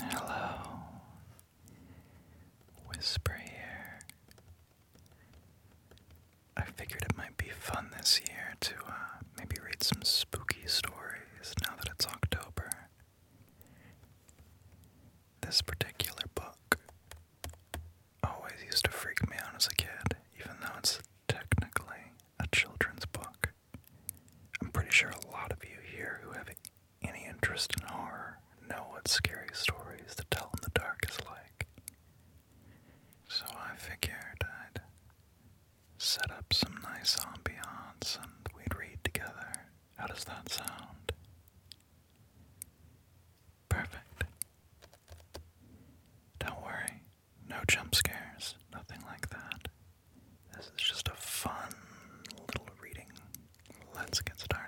Hello, Whisper here. I figured it might be fun this year to uh, maybe read some spooky stories now that it's October. This particular book always used to freak me out as a kid, even though it's technically a children's book. I'm pretty sure a lot of you here who have any interest in horror know what scary stories to tell in the dark is like. So I figured I'd set up some nice ambiance and we'd read together. How does that sound? Perfect. Don't worry, no jump scares, nothing like that. This is just a fun little reading. Let's get started.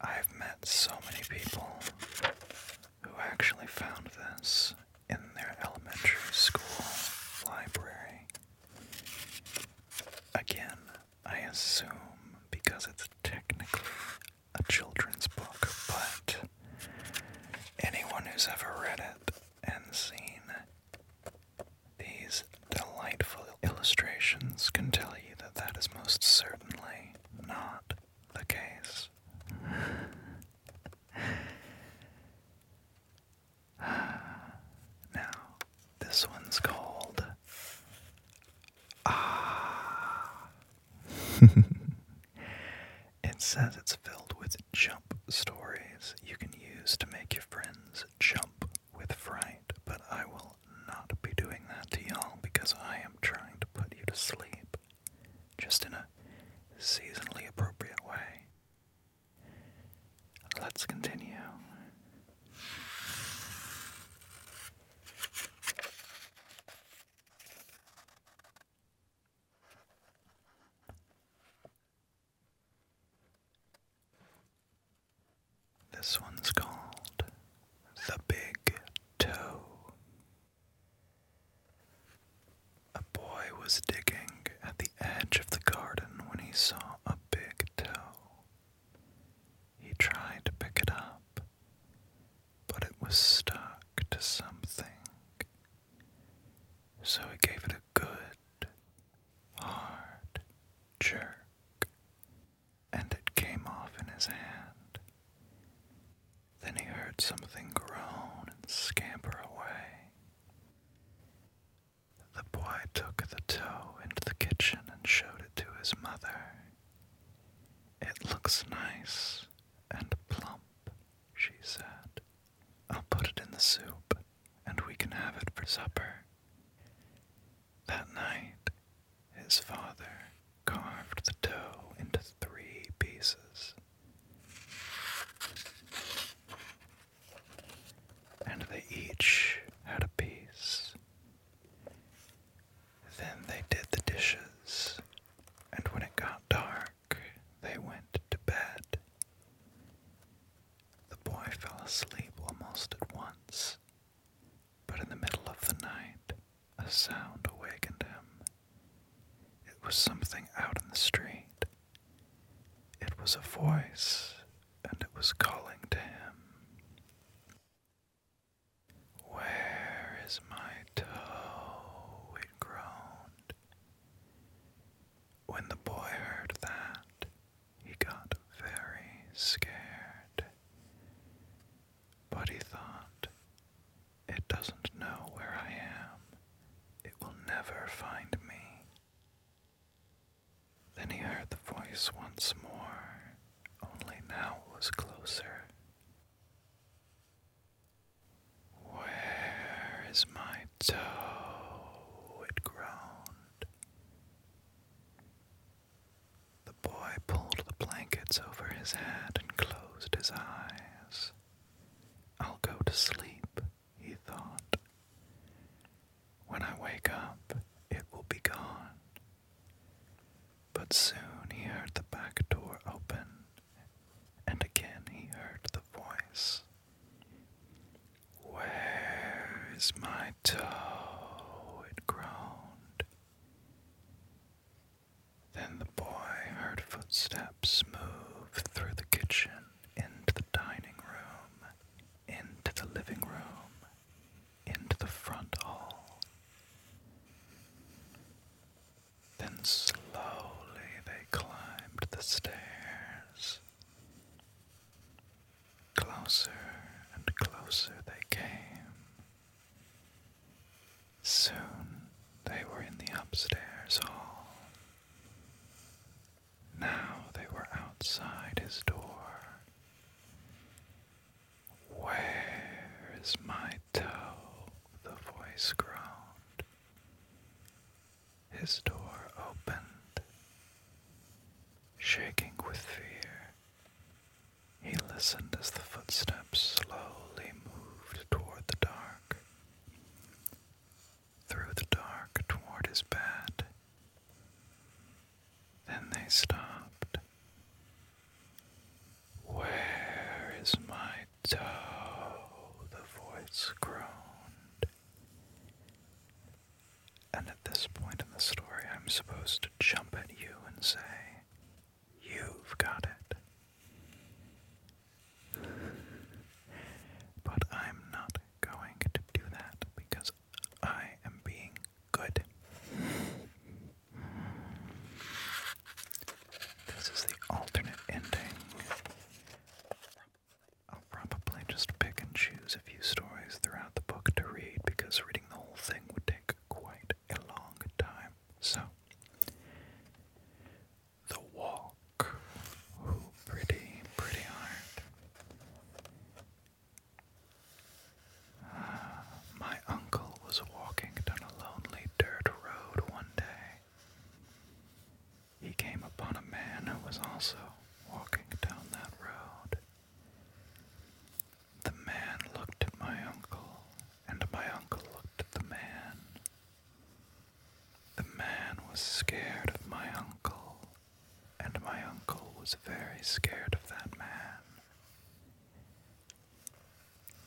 I've met so many people who actually found this in their elementary school library. Again, I assume because it's technically a children's book, but anyone who's ever read it and seen these delightful Illustrations can tell you that that is most certainly not the case. now, this one's called Ah. it says it's filled with jump stories you can use to make your friends jump with fright, but I will not be doing that to y'all because I am trying to put you to sleep just in a seasonally appropriate way. Let's continue. This one's called The Big Toe. A boy was digging at the edge of the garden when he saw a big toe. He tried to pick it up, but it was stuck to something. So he gave it a good, hard jerk and it came off in his hand. Then he heard something groan and scamper away. The boy took the toe into the kitchen and showed it to his mother. It looks nice and plump, she said. I'll put it in the soup, and we can have it for supper. That night, his father carved the dough into three pieces, and they each had a piece. Then they did the dishes, and when it got dark, they went to bed. The boy fell asleep almost at once, but in the middle of the night, a sound awakened him. It was something out in the street. It was a voice, and it was calling to him. Where is my toe? It groaned. When the boy heard that, he got very scared. But he thought, it doesn't know where I am. It will never find me. Then he heard the voice once more, only now it was closer. Where is my toe? It groaned. The boy pulled the blankets over his head and closed his eyes. I'll go to sleep, he thought. When I wake up, it will be gone. But soon he heard the back door open, and again he heard the voice. Where is my my it groaned. Then the boy heard footsteps move through the kitchen, into the dining room, into the living room, into the front hall. Then slowly they climbed the stairs. Closer and closer they came. Soon they were in the upstairs hall. Now they were outside his door. Where is my toe? The voice groaned. His door opened. Shaking with fear, he listened as the footsteps slowly moved toward the dark, through the dark toward his bed. Then they stopped. Where is my toe? The voice groaned. And at this point in the story, I'm supposed to jump at you and say, You've got it. but I'm not going to do that because I am being good. This is the alternate ending. I'll probably just pick and choose a few stories throughout the book to read because reading the whole thing would take quite a long time. So, the walk. Ooh, pretty, pretty hard. Uh, my uncle was walking down a lonely dirt road one day. He came upon a man who was also walking down that road. The man looked at my uncle, and my uncle looked at the man. The man was scared of my uncle, and my uncle was very scared of that man.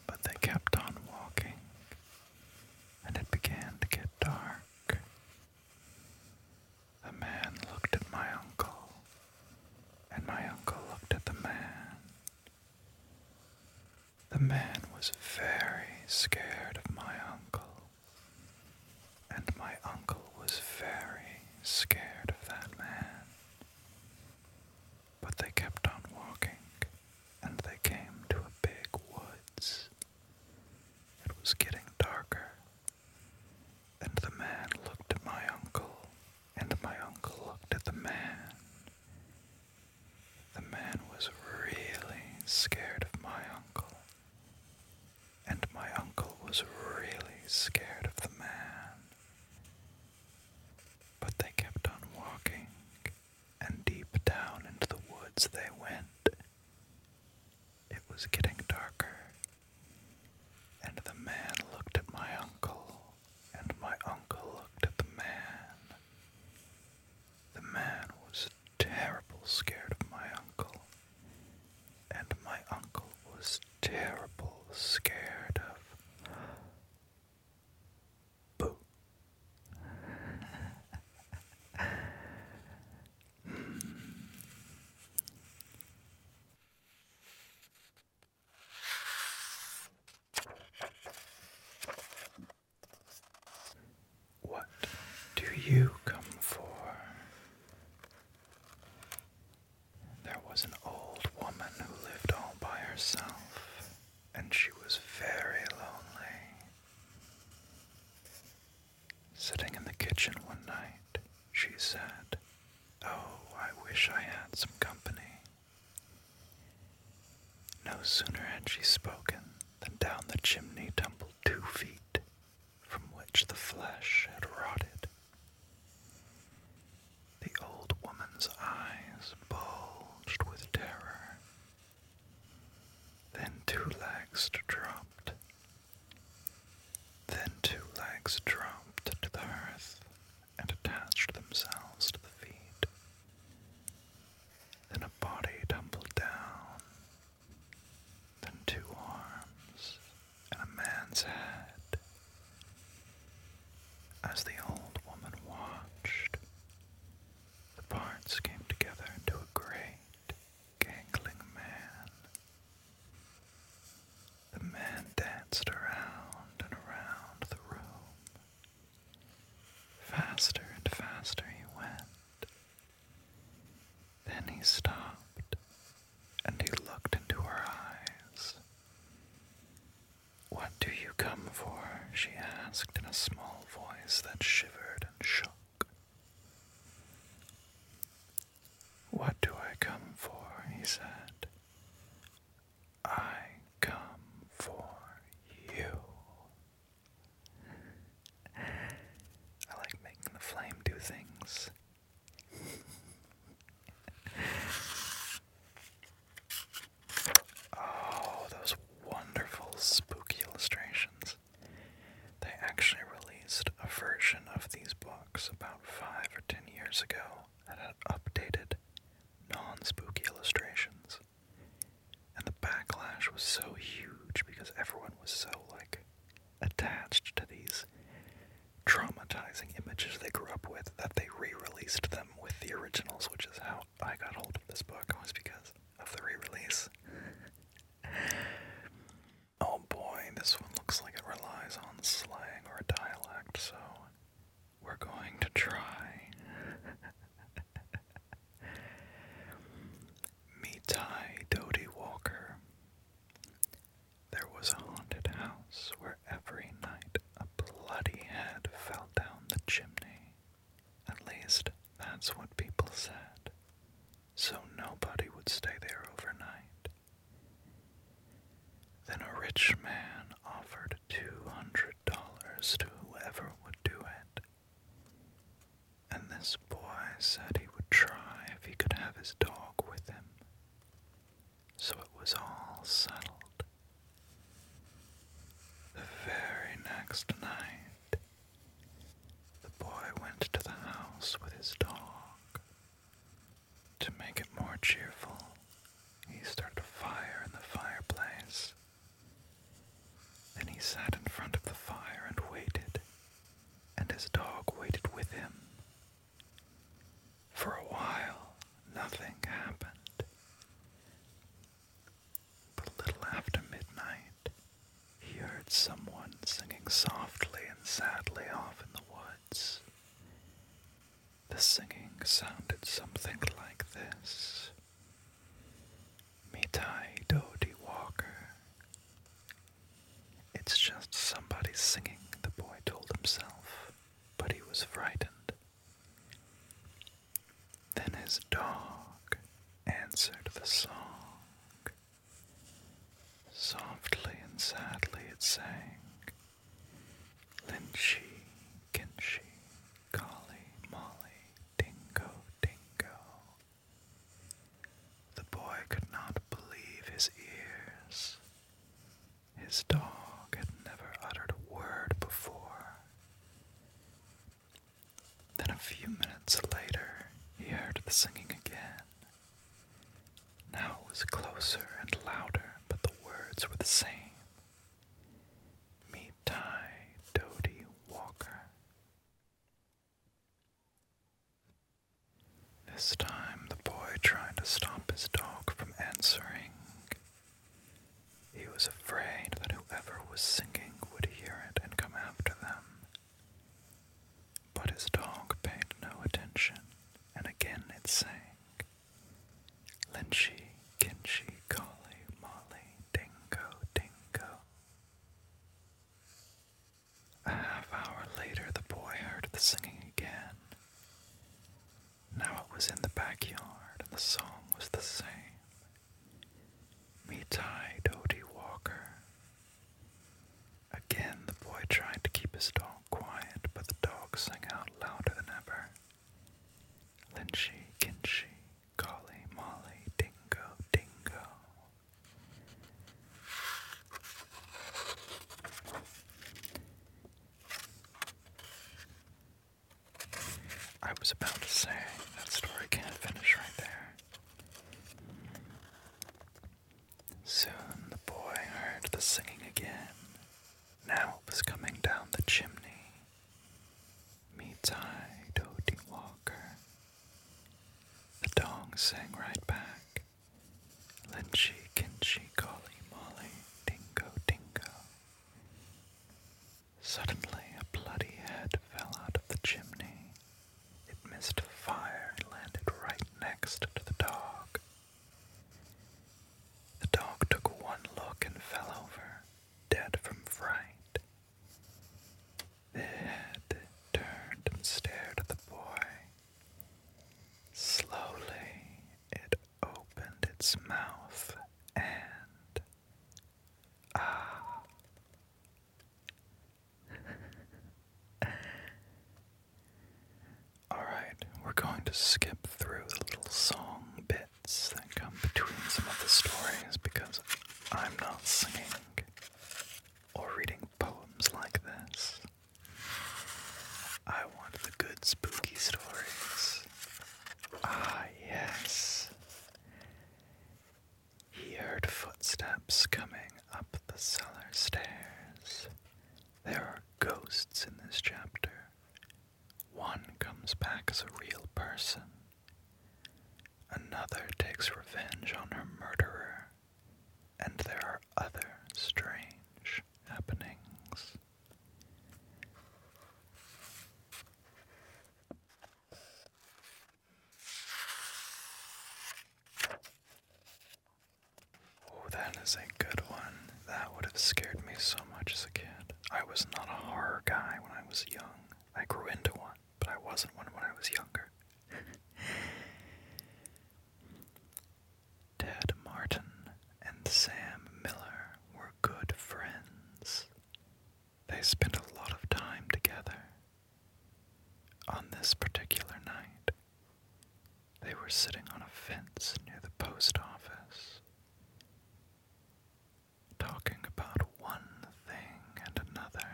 But they kept on walking, and it began to get dark. The man looked at my uncle, and my uncle looked at the man. The man was very scared of my uncle, and my uncle was very scared of that man. But they kept on walking, and they came to a big woods. It was getting darker and the man looked at my uncle, and my uncle looked at the man. The man was really scared of my uncle, and my uncle was really scared of the man. But they kept on walking, and deep down into the woods they went. It was getting darker and the man looked at my uncle, and my uncle looked at the man. The man was terrible scared of my uncle, and my uncle was terrible scared of Boo. What do you come for? There was an old woman who lived all by herself, and she was very lonely. Sitting in the kitchen one night, she said, Oh, I wish I had some company. No sooner had she spoken than down the chimney tumbled two feet, from which the flesh had rotted. The old woman's eyes bulged with terror. Then two legs dropped. Then two legs dropped to the earth and attached themselves to the feet. Then a body tumbled down. Then two arms and a man's head. As the old woman watched, the parts came together into a great, gangling man. The man danced around and around the room. Faster and faster he went. Then he stopped and he looked into her eyes. What do you come for? she asked in a small voice that shivered and shook. What do I come for? he said. I come for you. I like making the flame do things. oh, those wonderful spooky illustrations. They actually released a version of these books about five or ten years ago and had updated, non spooky illustrations. And the backlash was so huge because everyone was so, like, attached to these traumatizing images they grew up with that they re released them with the originals, which is how I got hold of this book, was because of the re release. oh boy, this one looks like it relies on slang or dialect, so we're going to try. Mitai Dodie Walker. There was a haunted house where every night a bloody head fell down the chimney. At least that's what people said. So nobody would stay there overnight. Then a rich man offered two hundred dollars to whoever would do it. And this boy said he would try if he could have his dog with him. So it was all settled. The very next night, the boy went to the house with his dog. To make it more cheerful, he started a fire in the fireplace. Then he sat in front of the fire and waited, and his dog waited with him. For a while, nothing happened. But a little after midnight, he heard someone singing softly and sadly off in the woods. The singing sounded something like this Mitai Dodi Walker. It's just somebody singing, the boy told himself, but he was frightened. Then his dog answered the song. Softly and sadly it sang, Lynchy, Kinchy, Collie, Molly, Dingo, Dingo. The boy could not believe his ears. His dog had never uttered a word before. Then a few minutes later, he heard the singing again. Now it was closer and louder, but the words were the same. Meet Ty Doty Walker. This time the boy tried to stop his dog from answering. He was afraid that whoever was singing would hear it and come after them. But his dog paid no attention, and again it sang. Linshi, Kinchie, Kali, Molly, Dingo, Dingo. A half hour later, the boy heard the singing again. Now it was in the backyard, and the song was the same. Mitai Dodie Walker. Again, the boy tried to keep his dog quiet, but the dogs sang out louder than ever. Linshi, Kinshi, Golly, Molly, Dingo, Dingo. I was about to say that story can't finish right there. Soon the boy heard the singing again. Now it was coming down the chimney. Mitai Dodi Walker. The dog sang right back. Linchi Kinchi Kali Molly Dingo Dingo. Suddenly a bloody head fell out of the chimney. It missed the fire and landed right next to the dog. The dog took one look and fell over, dead from fright. It turned and stared at the boy. Slowly, it opened its mouth and. Ah! Alright, we're going to skip through the little song bits that come between some of the stories because I'm not singing or reading poems like this. I want the good spooky stories. Ah, yes. He heard footsteps coming up the cellar stairs. There are ghosts in this chapter. One comes back as a real person. Another takes revenge on her murderer. And there are other strange happenings. Oh, that is a good one. That would have scared me so much as a kid. I was not a horror guy when I was young. I grew into one, but I wasn't one when I was younger. Ted Martin and Sam Miller were good friends. They spent a lot of time together. On this particular night, they were sitting on a fence near the post office, talking about one thing and another.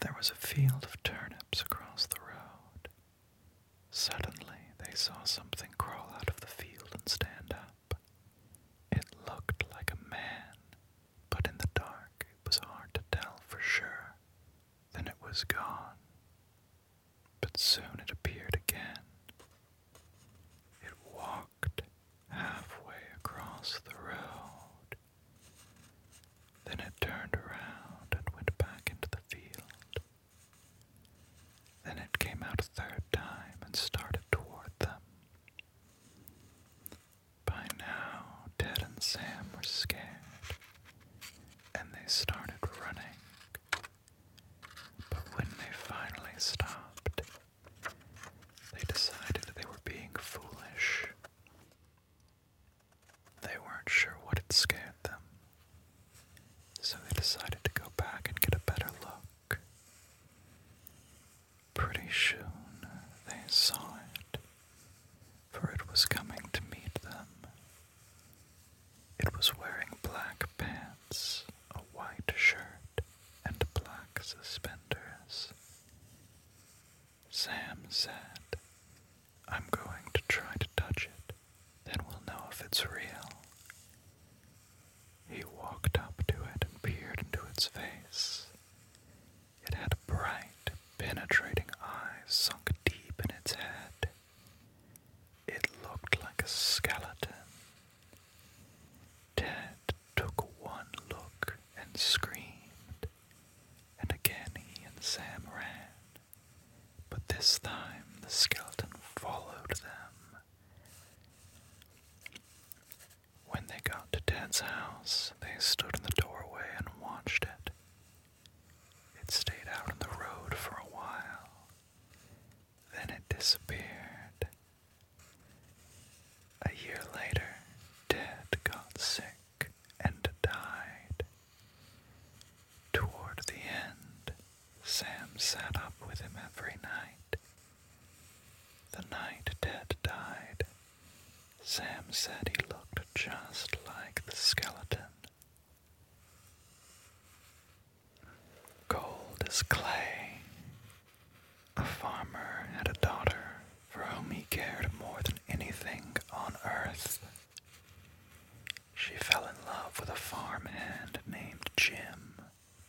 There was a field of turnips across the road. Suddenly, they saw something crawl out of the field and stand up. It looked like a man, but in the dark, it was hard to tell for sure. Then it was gone, but soon it appeared again. It walked halfway across the road. Then it turned around and went back into the field. Then it came out a third time and started toward them. By now, Ted and Sam were scared and they started running. But when they finally stopped, they decided they were being foolish. They weren't sure what had scared them, so they decided to go back and get a better look. Pretty soon they saw it, for it was coming to meet them. It was wearing black pants, a white shirt, and black suspenders. Sam said, I'm going to try to touch it, then we'll know if it's real. He walked up to it and peered into its face. It had bright, penetrating eyes sunk deep in its head. It looked like a skeleton. Ted took one look and screamed, and again he and Sam ran. But this time the skeleton followed them. When they got to Ted's house, they stood in the doorway and watched it. It stayed out on the road for a while, then it disappeared. A year later, Ted got sick and died. Toward the end, Sam sat up with him every night. The night Ted died, Sam said he looked just like the skeleton Gold is clay, a farmer had a daughter for whom he cared more than anything on earth. She fell in love with a farmhand named Jim,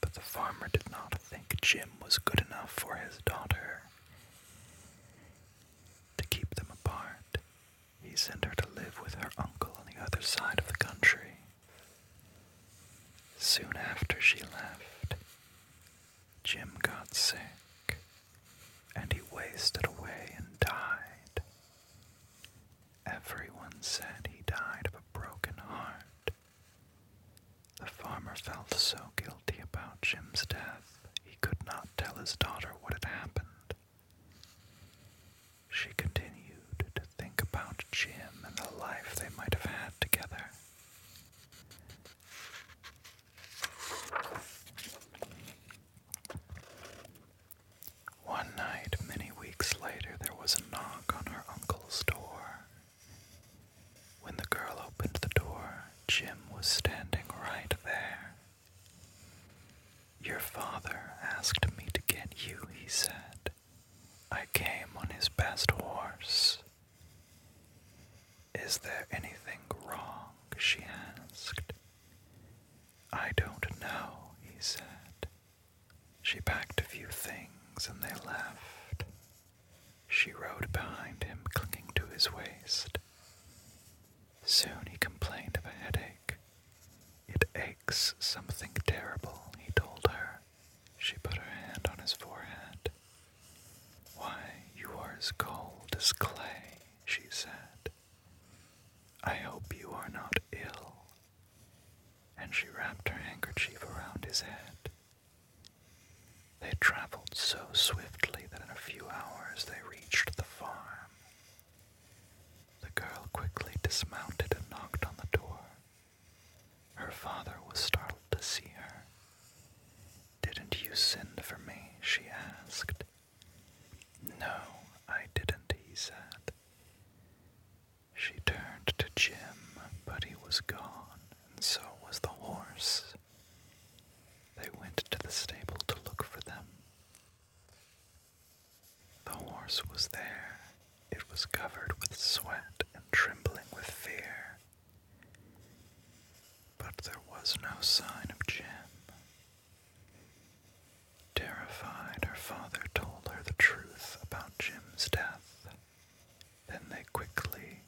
but the farmer did not think Jim was good enough for his daughter. To keep them apart, he sent her to live with her uncle on the other side of the country. Soon after she left, Jim got sick, and he wasted away and died. Everyone said he died of a broken heart. The farmer felt so guilty about Jim's death, he could not tell his daughter what had happened. She continued to think about Jim and the life they might have had together. One night, many weeks later, there was a knock on her uncle's door. When the girl opened the door, Jim was standing right there. Your father asked me to get you, he said. I came on his best horse. Is there anything wrong? she asked. I don't know, he said. She packed a few things and they left. She rode behind him, clinging to his waist. Soon he complained of a headache. It aches something terrible, he told her. She put her hand on his forehead. Why, you are as cold as clay, she said. I hope you are not ill. And she wrapped her handkerchief around his head. They traveled so swiftly that in a few hours they reached the farm. The girl quickly dismounted and knocked on the door. Her father was startled to see her. Didn't you send for me? she asked. No, I didn't, he said. She turned to Jim, but he was gone, and so was the horse. They went to the stable to look for them. The horse was there. It was covered with sweat and trembling with fear. But there was no sign of Jim. Terrified, her father told her the truth about Jim's death. Then they quickly,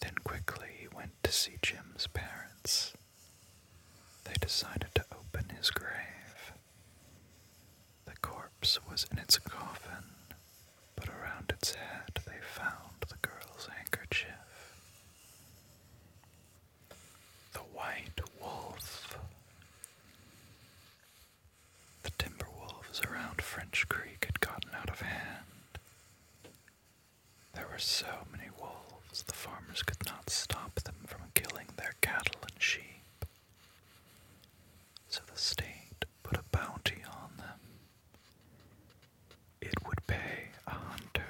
then quickly he went to see Jim's parents. They decided to open his grave. The corpse was in its coffin, but around its head they found the girl's handkerchief. The White Wolf. The timber wolves around French Creek had gotten out of hand. There were so many wolves themselves, the farmers could not stop them from killing their cattle and sheep. So the state put a bounty on them. It would pay a hunter.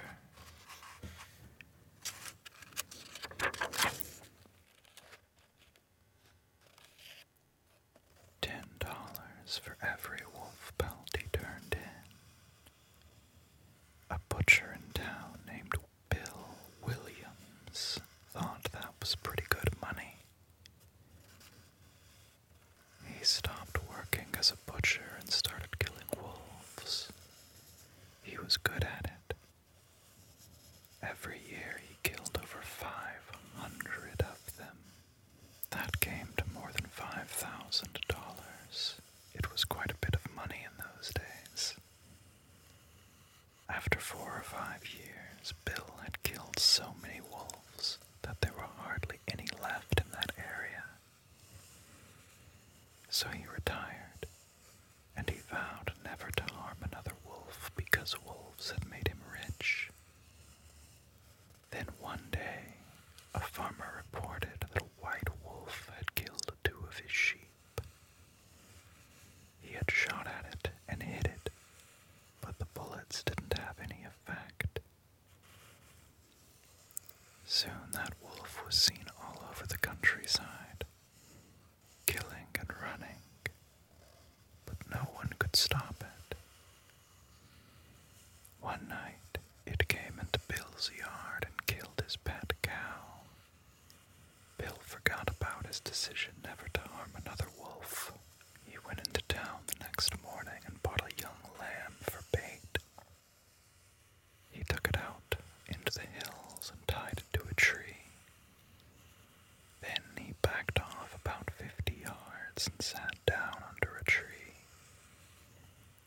Ten dollars for every wolf bounty turned in. A butcher in town named Bill Williams thought that was pretty good money. He stopped working as a butcher and started killing wolves. He was good at it. Every year he killed over 500 of them. That came to more than $5,000. It was quite a bit of money in those days. After four or five years, Bill had killed so many wolves that there were hardly any left in that area. So he retired, and he vowed never to harm another wolf because wolves had made him rich. Then one day, a farmer reported that a white wolf had killed two of his sheep. He had shot at it and hit it, but the bullets didn't have any effect. Soon that wolf was seen all over the countryside, killing and running, but no one could stop it. One night it came into Bill's yard and killed his pet cow. Bill forgot about his decision never to harm another wolf. He went into town the next morning and bought a young lamb for bait. He took it out into the hills and tied it to a tree. Then he backed off about fifty yards and sat down under a tree.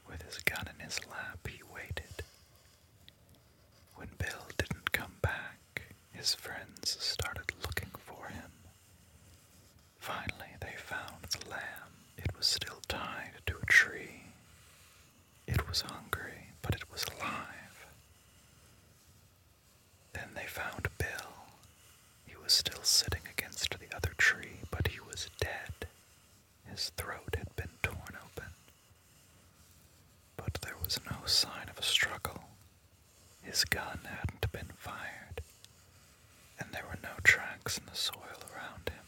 With his gun in his lap, he waited. When Bill didn't come back, his friends started looking for him. Finally, they found the lamb. It was still tied to a tree. It was hungry, but it was alive. Then they found Bill. He was still sitting against the other tree, but he was dead. His throat had been torn open, but there was no sign of a struggle. His gun hadn't been fired, and there were no tracks in the soil around him.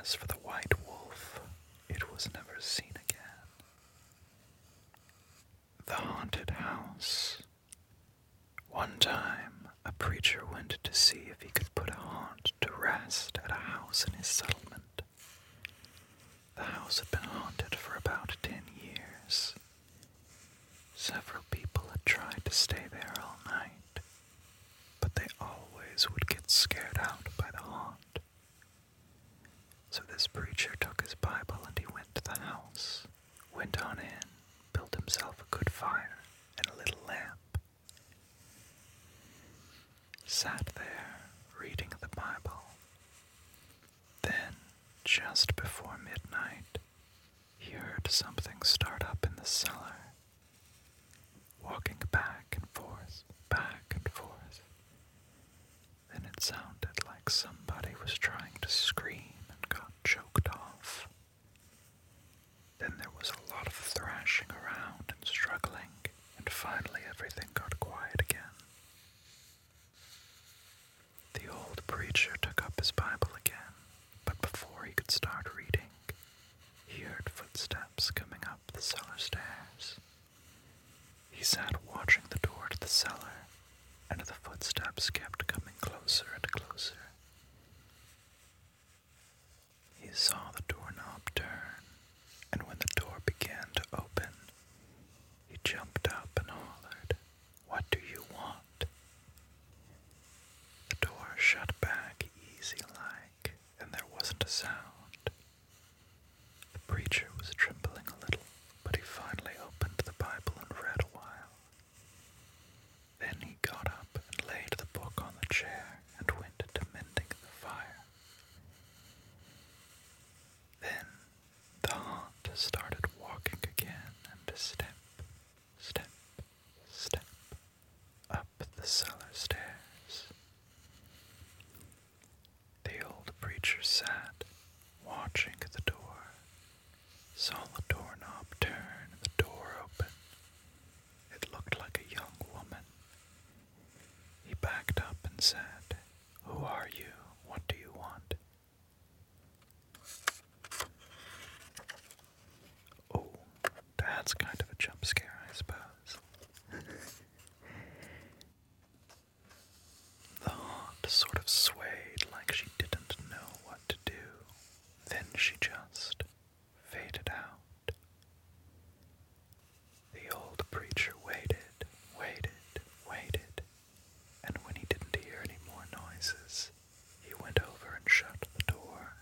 As for the white wolf, it was never seen again. The Haunted House. One time, a preacher went to see if he could put a haunt to rest at a house in his settlement. The house had been haunted for about ten years. Several people had tried to stay there all night, but they always would get scared out by the haunt. So this preacher took his Bible and he went to the house, went on in, built himself a good fire and a little lamp, Sat there reading the Bible. Then, just before midnight, he heard something start up in the cellar, walking back and forth, back and forth. Then it sounded like somebody was trying to scream and got choked off. Then there was a lot of thrashing around and struggling and finally everything got quiet again. The old preacher took up his Bible again, but before he could start reading, he heard footsteps coming up the cellar stairs. He sat watching the door to the cellar, and the footsteps kept coming closer and closer. He saw the doorknob turn, and when the door began to open, he jumped up and hollered, What do you want? The door shut back easy like, and there wasn't a sound. The preacher was trembling a little, but he finally opened the Bible and read a while. Then he got up and laid the book on the chair and went to mending the fire. Then the haunt started walking again and step, step, step up the cellar stairs. The old preacher sat watching the door, saw the doorknob turn, the door open. It looked like a young woman he backed up and said, Who are you? What do you want? Oh, that's kind of a jump scare, I suppose. the haunt sort of swayed like she didn't know what to do. Then she just faded out. The old preacher waited, waited, waited, and when he didn't hear any more noises, he went over and shut the door.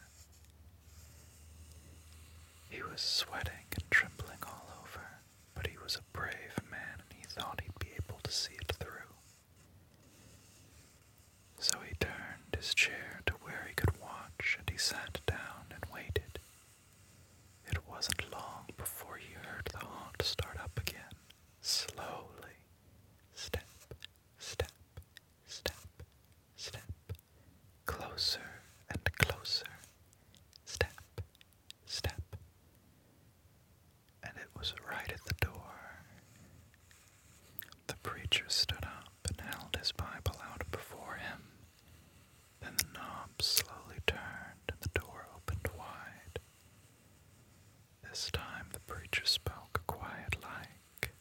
He was sweating and trembling all over, but he was a brave man and he thought he'd be able to see it through. So he turned his chair to where he could watch and he sat down and waited it wasn't long before he heard the haunt start up again, slowly, step, step, step, step, closer and closer, step, step. And it was right at the door. The preacher stood up and held his Bible out before him. Then the knob slowly turned and the door opened wide. This time the preacher spoke a quiet like.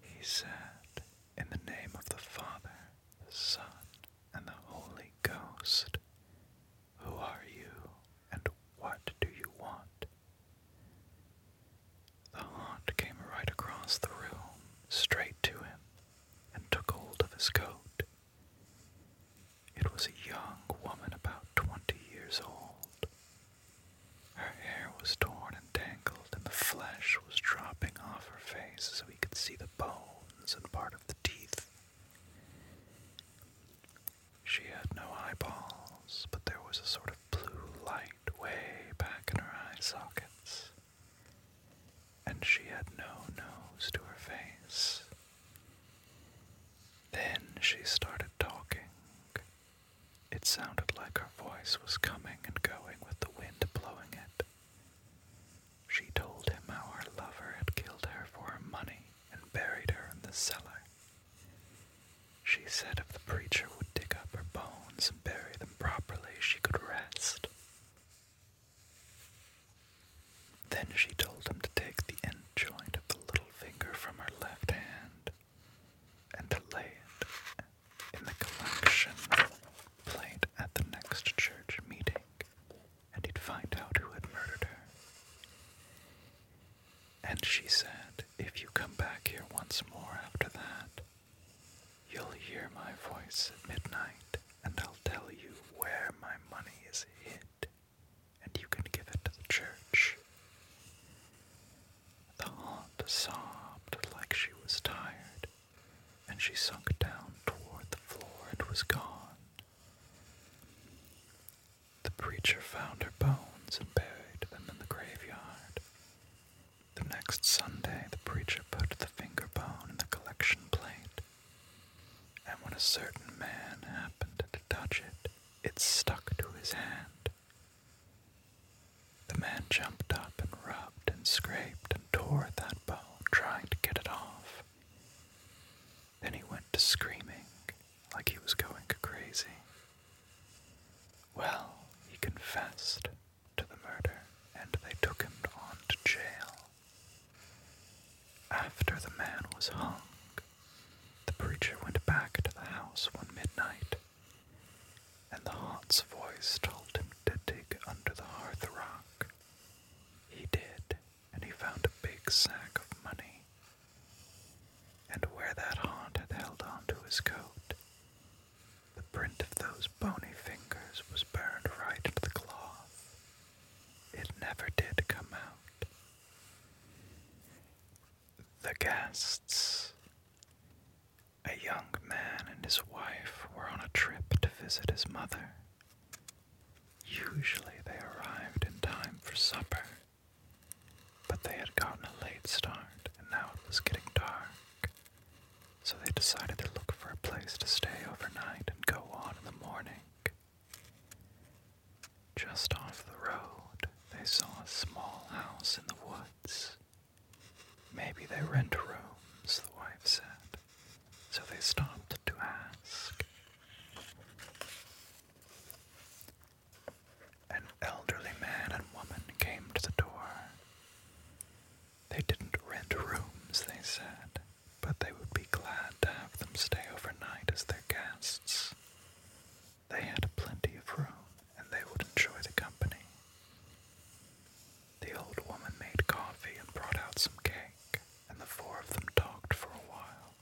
He said, In the name of the Father, the Son, and the Holy Ghost, who are you and what do you want? The haunt came right across the room, straight to him, and took hold of his coat. It was a young woman about twenty years old. Her hair was torn and tangled, and the flesh was dropping off her face so he could see the bones and part of the teeth. She had no eyeballs, but there was a sort of blue light way back in her eye sockets and she had no nose to her face. Then she started talking. It sounded like her voice was coming and going with the wind blowing it. She told him how her lover had killed her for her money and buried her in the cellar. She said if the preacher would dig up her bones and bury them properly, she could rest. Then she told him to take the end joint of the little finger from her left hand and to lay it in the collection plate at the next church meeting, and he'd find out who had murdered her. And she said, If you come back here once more after that, You'll hear my voice at midnight, and I'll tell you where my money is hid, and you can give it to the church. The aunt sobbed like she was tired, and she sunk down toward the floor and was gone. The preacher found her bones and buried them in the graveyard. The next Sunday, the preacher put the finger bone in the collection plate, and when a certain man happened to touch it, it stuck to his hand. The man jumped up and rubbed and scraped and tore at that bone, trying to get it off. Then he went to screaming like he was going crazy. Well, he confessed to the murder, and they took him on to jail. After the man was hung, the preacher went back to the house one midnight, and the haunt's voice told him to dig under the hearth rock. He did, and he found a big sack of money. And where that haunt had held on to his coat, the print of those bony fingers was burned right into the cloth. It never did come out. The guests. A young man and his wife were on a trip to visit his mother. Usually they arrived in time for supper, but they had gotten a late start and now it was getting dark. So they decided to look for a place to stay overnight and go on in the morning. Just off the road, they saw a small house in the woods. Maybe they rent rooms, the wife said, so they stopped to ask. An elderly man and woman came to the door. They didn't rent rooms, they said, but they would be glad to have them stay overnight as their guests. They had plenty of room, and they would enjoy the company. The old woman made coffee and brought out some cake, and the four of them talked for a while.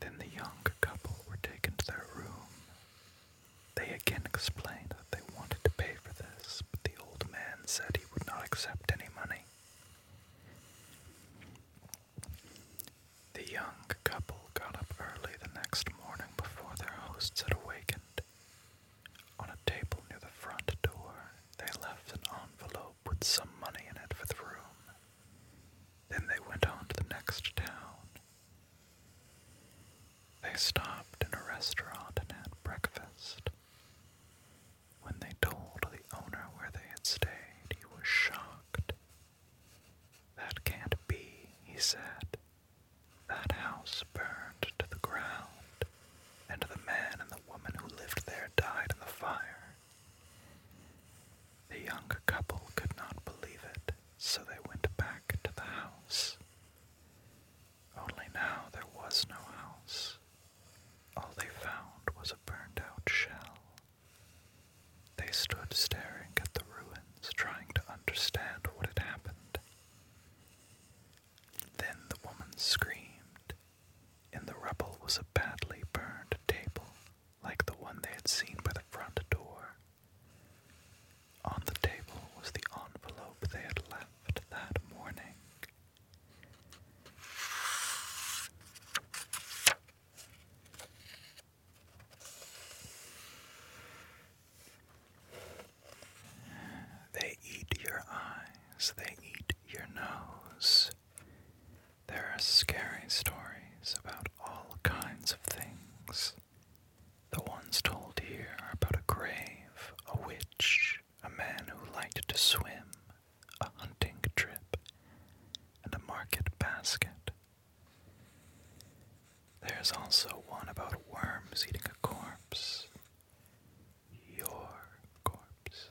Then the young couple were taken to their room, they again explained that they wanted to pay for this, but the old man said he would not accept any money. The young couple got up early the next morning before their hosts had awakened. On a table near the front door, they left an envelope with some money in it for the room. Then they went on to the next town. They stopped in a restaurant and had breakfast. When they told the owner where they had stayed, he was shocked. That can't be, he said. That house burned to the ground, and the man and the woman who lived there died in the fire. The young couple could not believe it, so they went back to the house. Only now there was no house. All they found was a burned out shell. They stood staring at the ruins, trying to understand what had happened. Then the woman screamed. In the rubble was a badly burned table, like the one they had seen by the front door. On the table was the envelope they had left that morning. They eat your eyes, they eat your nose. There are scary stories about all kinds of things. The ones told here are about a grave, a witch, a man who liked to swim, a hunting trip, and a market basket. There's also one about worms eating a corpse. Your corpse.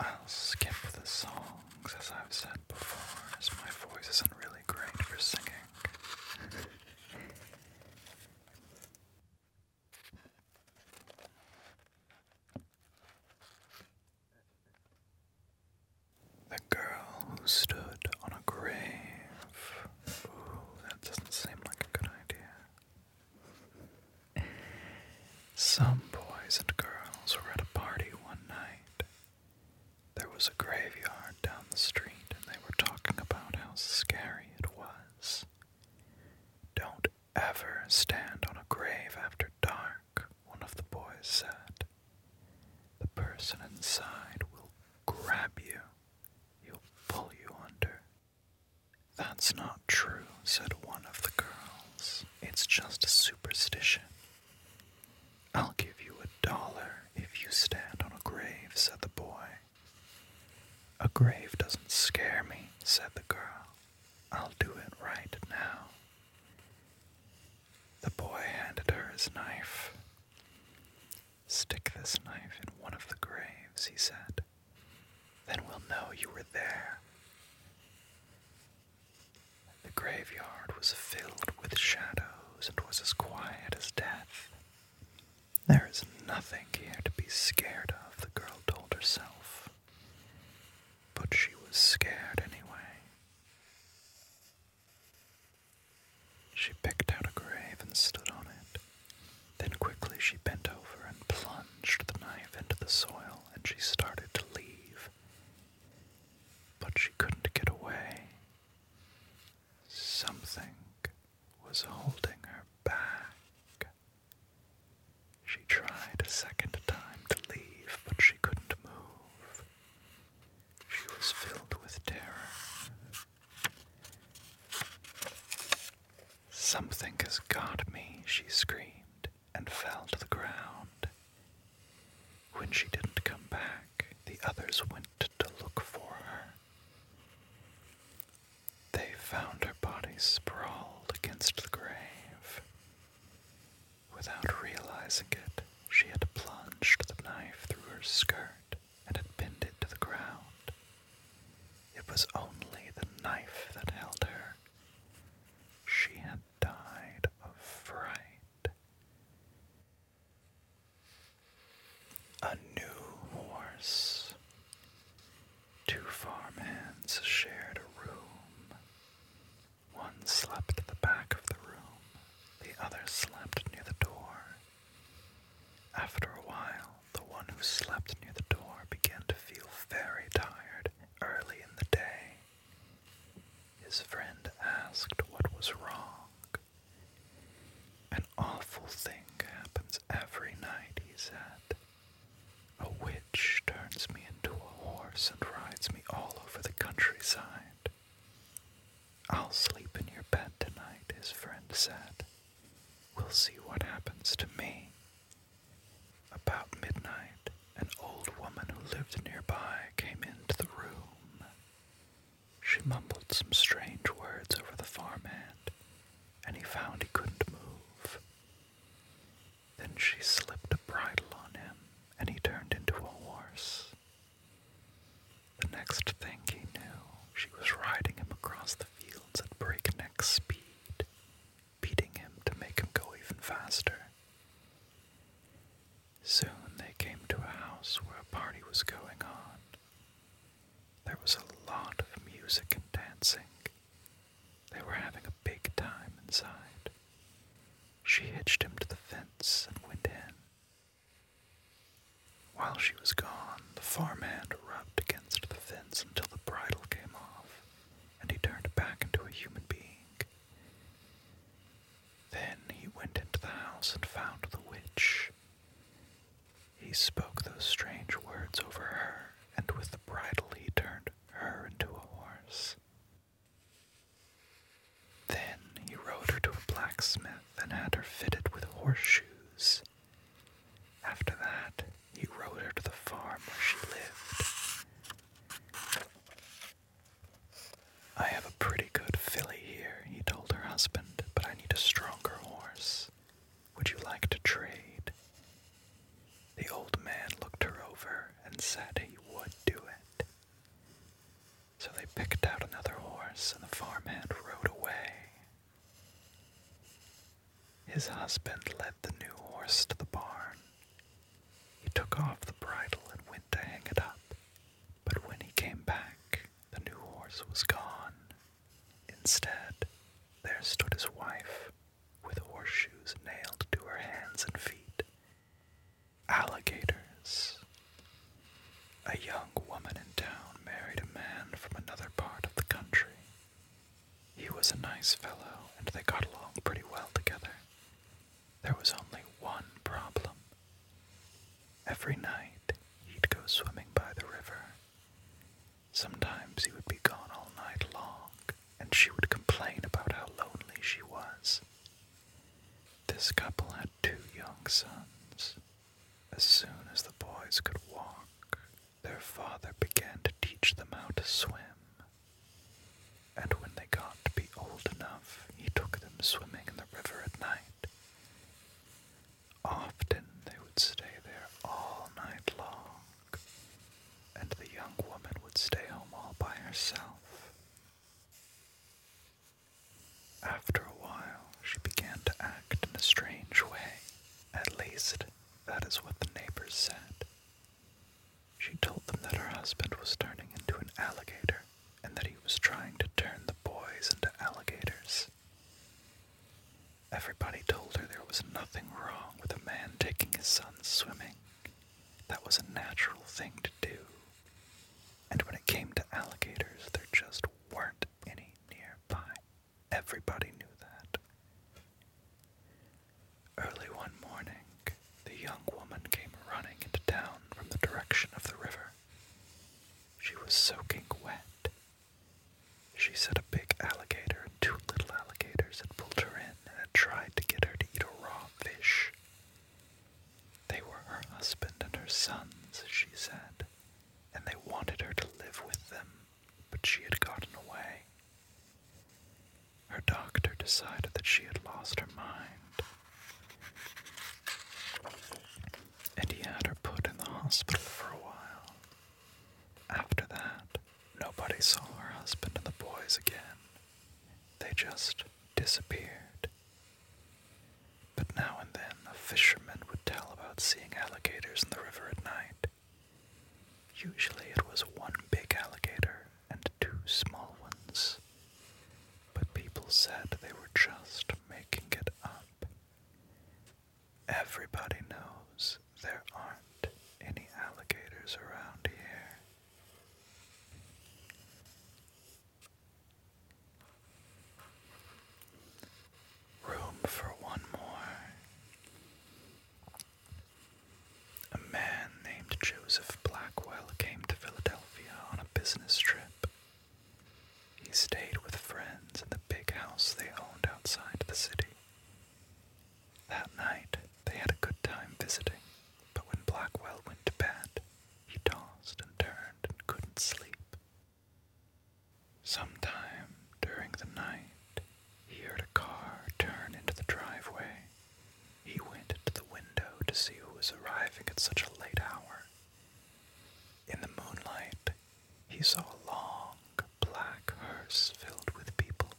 I'll skip the songs, as I've said before, as my voice isn't really great for singing. The girl who stood on a grave. Ooh, that doesn't seem like a good idea. Some boys and girls were at a party one night. There was a graveyard down the street, and they were talking about how scary it was. Don't ever stand on a grave after dark, one of the boys said. The person inside will grab you, he'll pull you under. That's not true, said one of the girls. It's just a superstition. I'll give you a dollar if you stand on a grave, said the boy. A grave doesn't scare me, said the girl. I'll do it right now. The boy handed her his knife. Stick this knife in one of the graves, he said. Then we'll know you were there. The graveyard was filled with shadows and was as quiet as death. There is nothing here to be scared of, the girl told herself. But she was scared anyway. She picked out a grave and stood on it. Then quickly she bent over and plunged the knife into the soil and she started to leave. But she couldn't get away. Something was holding her back. She tried a second time to leave, but she couldn't move. She was filled with terror. Something has got me, she screamed and fell to the ground. When she didn't come back, the others went to look for her. They found her body sprawled against the grave. Without realizing it, she had plunged the knife through her skirt and had pinned it to the ground. It was only the knife that held her. She had died of fright. A new horse. Two farmhands shared a room. One slept at the back of the room, the other slept near the door. After a while, the one who slept near the door began to feel very tired early in the day. His friend asked what was wrong. An awful thing happens every night, he said. A witch turns me into a horse and rides me all over the countryside. I'll sleep in your bed tonight, his friend said. We'll see what happens to me. About midnight, an old woman who lived nearby came into the room. She mumbled some strange words over the farmhand, and he found he couldn't move. Then she slipped a bridle on him, and he turned into a horse. The next thing he knew, she was riding him across the fields at breakneck speed, beating him to make him go even faster. Soon they came to a house where a party was going on. There was a lot of music and dancing. They were having a big time inside. She hitched him to the fence and went in. While she was gone, the farmhand rubbed against the fence until the bridle came off, and he turned back into a human being. Then he went into the house and found the witch. He spoke those strange words over her, and with the bridle he turned her into a horse. Then he rode her to a blacksmith and had her fitted with horseshoes. After that, he rode her to the farm where she lived. I have a pretty good filly here, he told her husband, but I need a stronger horse. Would you like to trade? The old man looked her over and said he would do it. So they picked out another horse, and the farmhand rode away. His husband led the new horse to the barn, he took off the bridle and went to hang it up, but when he came back, the new horse was gone. Instead, there stood his wife, with horseshoes nailed to her hands and feet. Alligators. A young woman in town married a man from another part of the country. He was a nice fellow, and they got along pretty well together. There was only one problem. Every night he'd go swimming by the river. Sometimes he would be gone all night long, and she would complain about how lonely she was. This couple had two young sons. As soon as the boys could walk, their father began to teach them how to swim. And when they got to be old enough, he took them swimming in the river at night. Often they would stay there all night long, and the young woman would stay home all by herself. After a while, she began to act in a strange way. At least, that is what the neighbors said. She told them that her husband was turning into an alligator and that he was trying to turn the boys into alligators. Everybody told her there was nothing wrong with a man taking his son swimming. That was a natural thing to do. And when it came to alligators, there just weren't any nearby. Everybody knew that. Early one morning, the young woman came running into town from the direction of the river. She was soaking wet. She said a big alligator and two little alligators had pulled her in and had tried to get her to eat a raw fish. They were her husband and her sons, she said, and they wanted her to live with them, but she had gotten away. Her doctor decided that she had lost her mind, and he had her put in the hospital for a while. After that, nobody saw her husband and the boys again. They just disappeared. But now and then, a fisherman would tell about seeing alligators in the river at night. Usually, it was one big alligator and two small ones. But people said they were just making it up. Everybody knows there aren't any alligators around here. Room for one more. A man named Joseph Blackwell came to Philadelphia on a business trip. He stayed with friends in the big house they owned outside the city. That night, they had a good time visiting, but when Blackwell went to bed, he tossed and turned and couldn't sleep. Sometime during the night, he heard a car turn into the driveway he went to the window to see who was arriving at such a late hour. In the moonlight, he saw a long black hearse filled with people.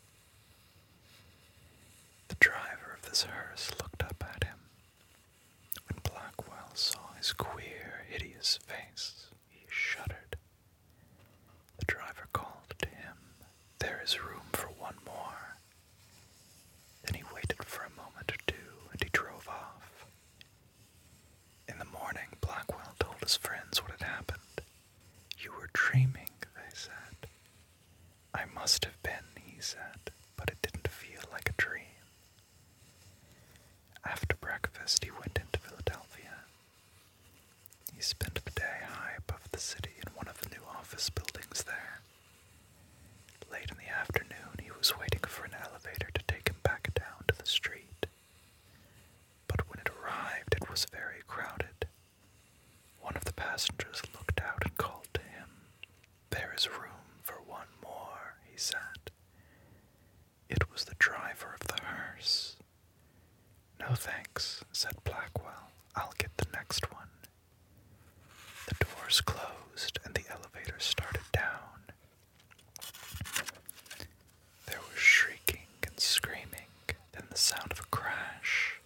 The driver of this hearse looked up at him. When Blackwell saw his queer, hideous face, he shuddered. The driver called to him, There is room for one more. Then he waited for a moment or two, and he drove off. In the morning, Blackwell told his friends what had happened. You were dreaming, they said. I must have been, he said, but it didn't feel like a dream. After breakfast, he went into Philadelphia. He spent the day high above the city in one of the new office buildings there. Late in the afternoon, he was waiting for an elevator to take him back down to the street. But when it arrived, it was very crowded. One of the passengers looked out and called to him. There is room for one more, he said. It was the driver of the hearse. No thanks, said Blackwell. I'll get the next one. The doors closed and the elevator started down. There was shrieking and screaming, then the sound of a crash.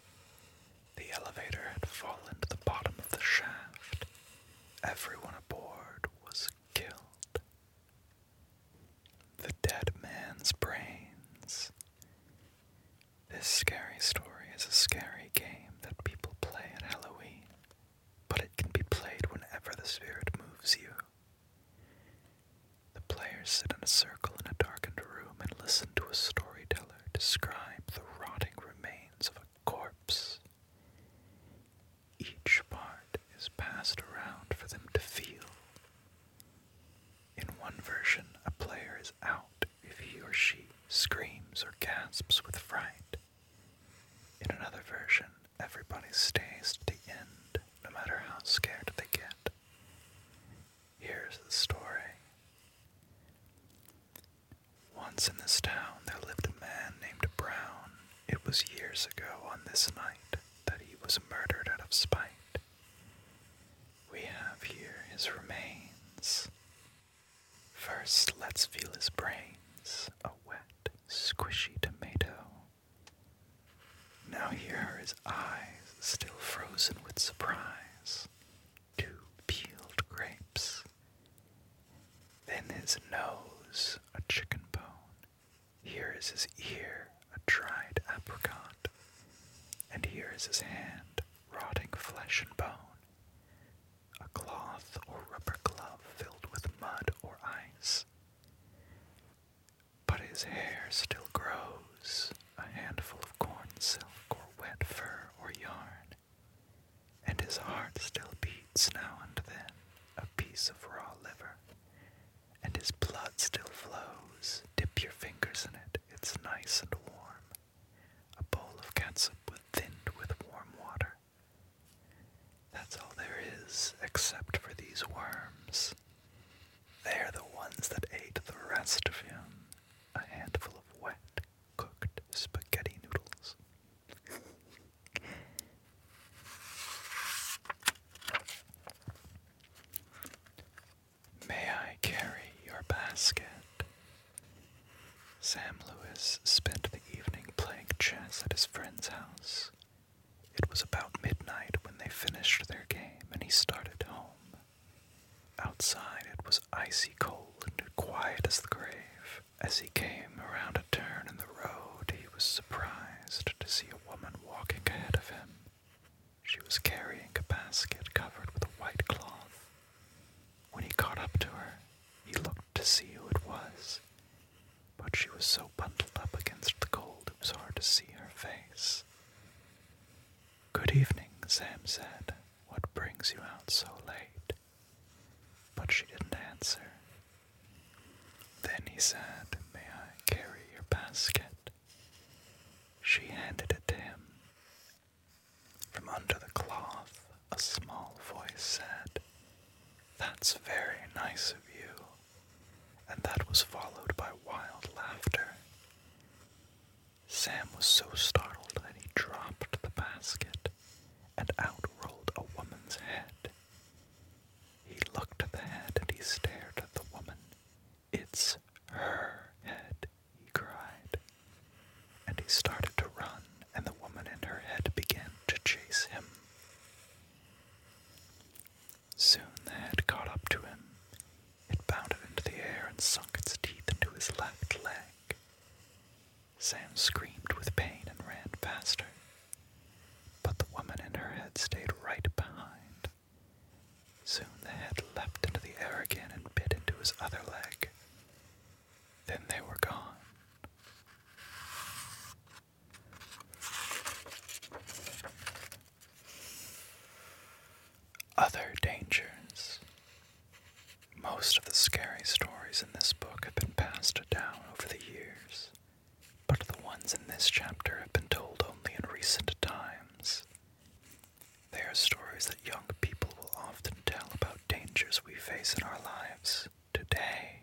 The elevator had fallen to the bottom of the shaft. Everyone aboard was killed. The dead man's brains this scary story is a scary game that people play at Halloween, but it can be played whenever the spirit moves you. The players sit in a circle in a darkened room and listen to a storyteller describe the rotting remains of a corpse. Each part is passed around for them to feel. In one version, a player is out if he or she screams or gasps with fright. In another version, everybody stays to the end, no matter how scared they get. Here's the story. Once in this town, there lived a man named Brown. It was years ago on this night that he was murdered out of spite. We have here his remains, First, let's feel his brains. A wet, squishy tomato. Now here his eyes, still frozen with surprise. Two peeled grapes. Then his nose, a chicken bone. Here is his ear, a dried apricot. And here is his hand, rotting flesh and bone a cloth or rubber glove filled with mud or ice. But his hair still grows, a handful of corn silk or wet fur or yarn, and his heart still beats now and then, a piece of raw liver, and his blood still flows. Dip your fingers in it, it's nice and warm. A bowl of catsup was thinned with warm water. That's all there is, except for these worms. They're the ones that ate the rest of him. A handful of wet, cooked spaghetti noodles. May I carry your basket? Sam Lewis spent the evening playing chess at his friend's house. It was about midnight when they finished their game and he started home. Outside it was icy cold and quiet as the grave. As he came around a turn in the road, he was surprised to see a woman walking ahead of him. She was carrying a basket covered with a white cloth. When he caught up to her, he looked to see who it was, but she was so bundled up against the cold it was hard to see her face. Good evening, Sam said. What brings you out so late? But she didn't answer. Then he said, May I carry your basket? She handed it to him, from under the cloth, a small voice said, That's very nice of you. And that was followed by wild laughter. Sam was so startled that he dropped the basket, and out rolled a woman's head. He looked at the head and he stared at the woman. It's her head, he cried. And he started to run, and the woman in her head began to chase him. Soon the head caught up to him. It bounded into the air and sunk its teeth into his left leg. Sam screamed with pain and ran faster. But the woman in her head stayed right behind. Soon the head leapt into the air again and bit into his other leg. Then they were gone. Other dangers. Most of the scary stories in this book have been passed down over the years, but the ones in this chapter have been told only in recent times they are stories that young people will often tell about dangers we face in our lives today,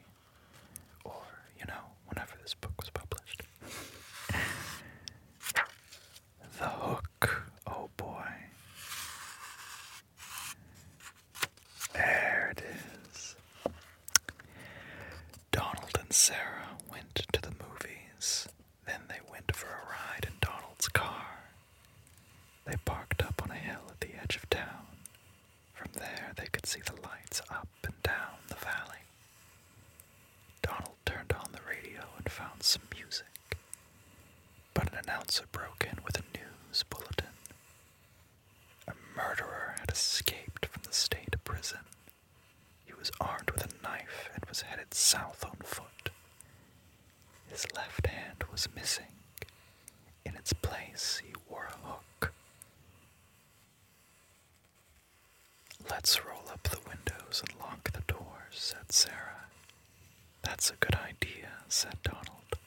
or, you know, whenever this book was published. the Hook, oh boy. There it is. Donald and Sarah went to the movies. Then they went for a ride in Donald's car. They parked up on a hill at the edge of town. From there, they could see the lights up and down the valley. Donald turned on the radio and found some music. But an announcer broke in with a news bulletin. A murderer had escaped from the state prison. He was armed with a knife and was headed south on foot. His left hand was missing. In its place, he wore a hook. Let's roll up the windows and lock the doors, said Sarah. That's a good idea, said Donald.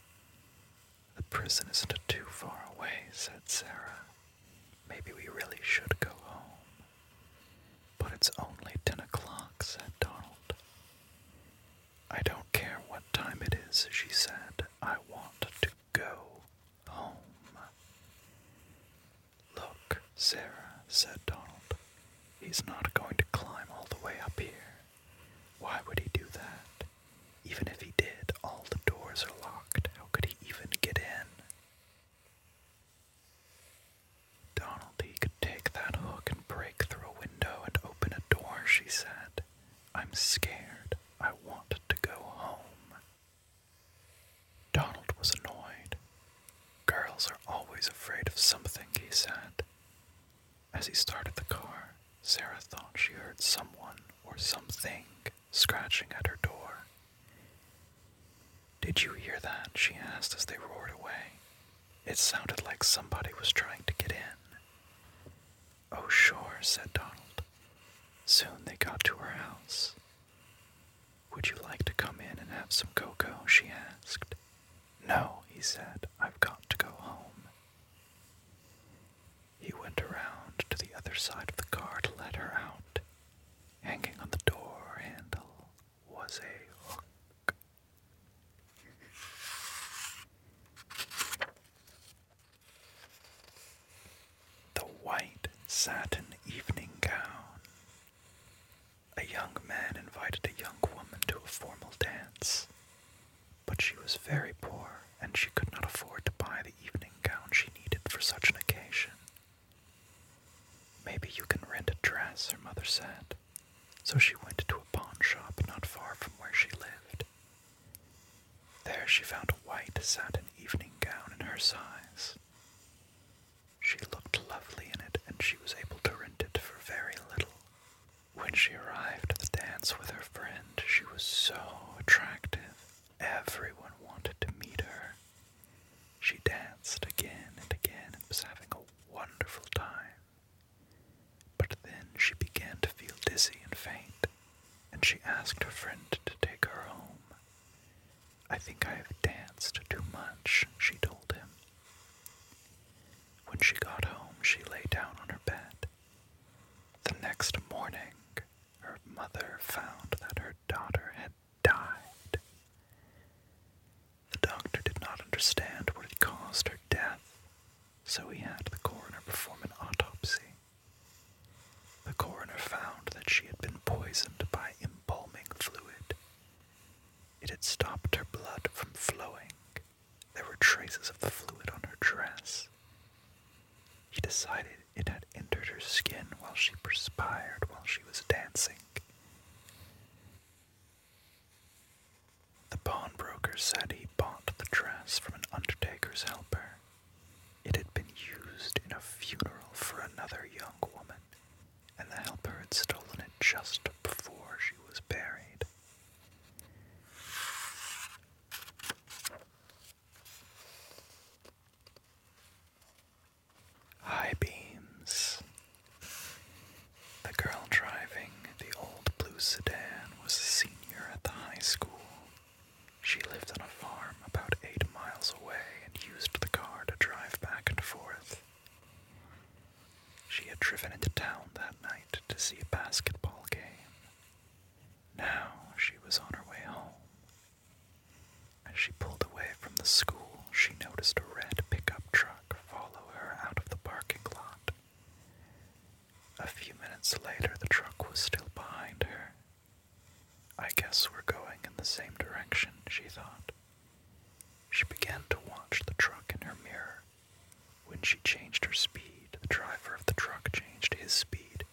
The prison isn't too far away, said Sarah. Maybe we really should go home. But it's only ten o'clock, said Donald. I don't care what time it is, she said. I want to go home. Look, Sarah, said Donald. He's not going to climb all the way up here. Why would he do that? Even if he did, all the doors are locked. How could he even get in? Donald, he could take that hook and break through a window and open a door, she said. I'm scared. I want to go home. Donald was annoyed. Girls are always afraid of something, he said. As he started the car, Sarah thought she heard someone or something scratching at her door. Did you hear that? she asked as they roared away. It sounded like somebody was trying to get in. Oh, sure, said Donald. Soon they got to her house. Would you like to come in and have some cocoa? she asked. No, he said, I've got to go home. He went around to the other side of the car to let her out, hanging on the door handle was a hook. The white satin evening gown. A young man invited a young woman to a formal dance, but she was very poor and she could not afford to buy the evening gown she needed for such an occasion. Maybe you can rent a dress, her mother said. So she went to a pawn shop not far from where she lived. There she found a white satin evening gown in her size. She looked lovely in it, and she was able to rent it for very little. When she arrived at the dance with her friend, she was so attractive. Everyone wanted to meet her. She danced again and again and was having a wonderful time. But then she began to feel dizzy and faint, and she asked her friend to take her home. I think I have danced too much, she told him. When she got home, she lay down on her bed. The next morning, her mother found that her daughter had died. The doctor did not understand what had caused her death, so he had the coroner perform an autopsy. The coroner found that she had been poisoned by embalming fluid. It had stopped her blood from flowing. There were traces of the fluid on her dress. He decided it had entered her skin while she perspired while she was dancing. The pawnbroker said he bought the dress from an undertaker's helper. It had been used in a funeral for another young woman, and the helper had stolen it just before she was buried. High beams the girl driving the old blue sedan was a senior at the high school. She lived on a farm about eight miles away and used the car to drive back and forth. She had driven into town that night to see a basketball game. Now she was on her way home. As she pulled away from the school, she noticed a red pickup truck follow her out of the parking lot. A few minutes later, the truck was still behind her. I guess we're going in the same direction, she thought. She began to watch the truck in her mirror. When she changed her speed, the driver of the truck changed his speed.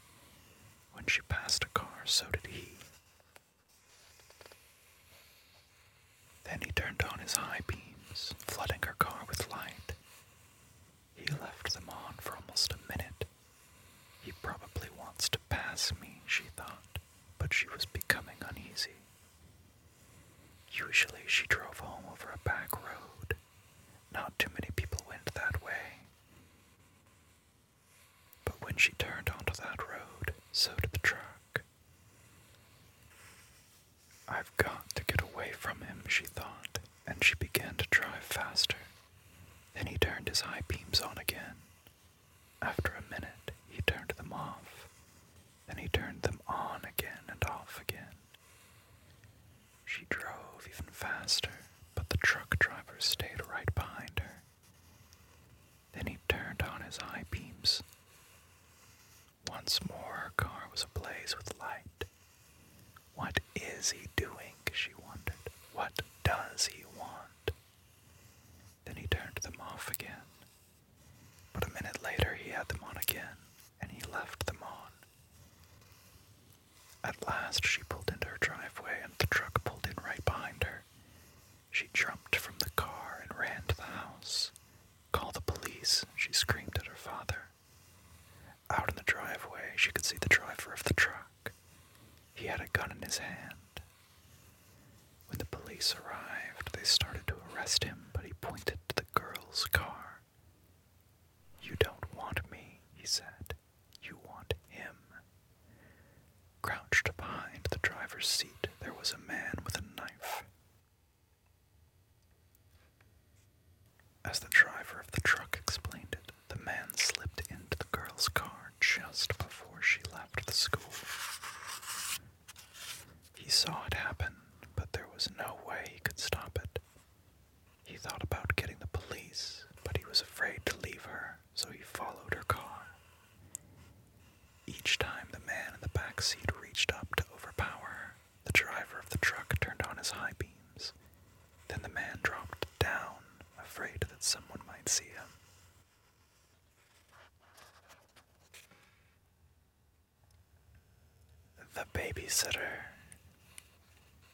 When she passed a car, so did he. Then he turned on his high beams, flooding her car with light. He left them on for almost a minute. He probably wants to pass me, she thought, but she was becoming uneasy. Usually she drove home over a back road. Not too many people went that way. But when she turned onto that road, so did the truck. I've got to get away from him, she thought, and she began to drive faster. Then he turned his high beams on again. After a minute, he turned them off. Then he turned them on again and off again. She drove even faster, but the truck driver stayed right behind her. Then he turned on his high beams. Once more her car was ablaze with light. What is he doing? she wondered. What does he want? Then he turned them off again. But a minute later he had them on again, and he left them on. At last she pulled into her driveway and the truck pulled in right behind her. She jumped from the car and ran to the house. Call the police, she screamed at her father. Out in the driveway, she could see the driver of the truck. He had a gun in his hand. When the police arrived, they started to arrest him, but he pointed to the girl's car. You don't want me, he said. You want him. Crouched behind the driver's seat, there was a man with a knife. As the driver of the truck explained it, the man slipped into the girl's car just before she left the school. He saw it happen, but there was no way he could stop it. He thought about getting the police, but he was afraid to leave her, so he followed her car. Each time the man in the back seat reached up to overpower her, the driver of the truck turned on his high beams. Then the man dropped down, afraid that someone might see him. The babysitter.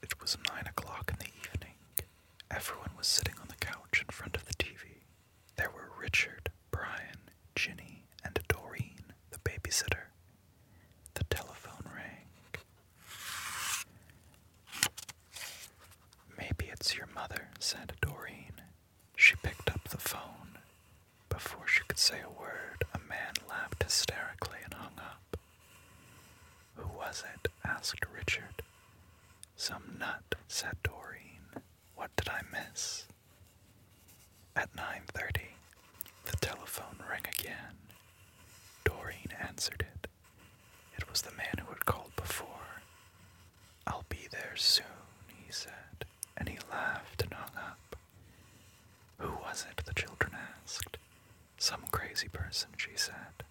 It was nine o'clock in the evening. Everyone was sitting on the couch in front of the TV. There were Richard, Brian, Ginny, and Doreen, the babysitter. The telephone rang. Maybe it's your mother, said Doreen. She picked up the phone. Before she could say a word, a man laughed hysterically and hung up. Who was it? asked Richard. Some nut, said Doreen. What did I miss? At 9:30, the telephone rang again. Doreen answered it. It was the man who had called before. I'll be there soon, he said, and he laughed and hung up. Who was it? the children asked. Some crazy person, she said.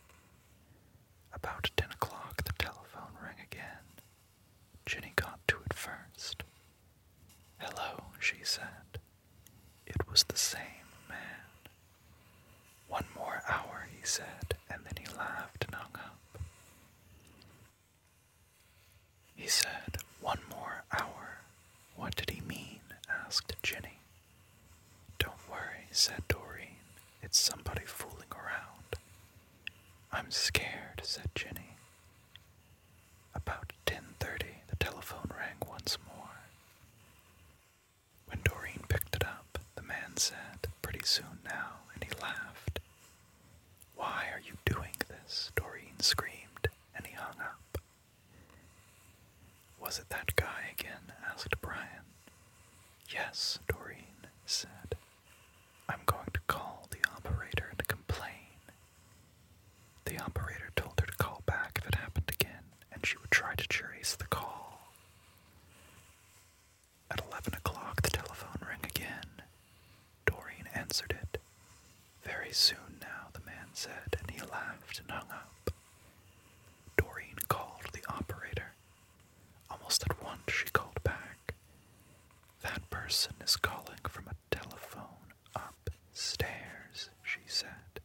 About ten o'clock, the telephone rang again. Jenny got to it first. Hello, she said. It was the same man. One more hour, he said, and then he laughed and hung up. He said, One more hour. What did he mean? asked Jinny. Don't worry, said Doreen. It's somebody fooling around. I'm scared, said Jinny. About 10:30, the telephone rang once more. When Doreen picked it up, the man said, "Pretty soon now," and he laughed. "Why are you doing this?" Doreen screamed, and he hung up. "Was it that guy again?" asked Brian. "Yes," Doreen said. "I'm going to call the operator and complain. The operator told her to call back if it happened again, and she would try to trace the call. At 11 o'clock, the telephone rang again. Doreen answered it. Very soon now, the man said, and he laughed and hung up. Doreen called the operator. Almost at once, she called back. That person is calling from a telephone upstairs, she said.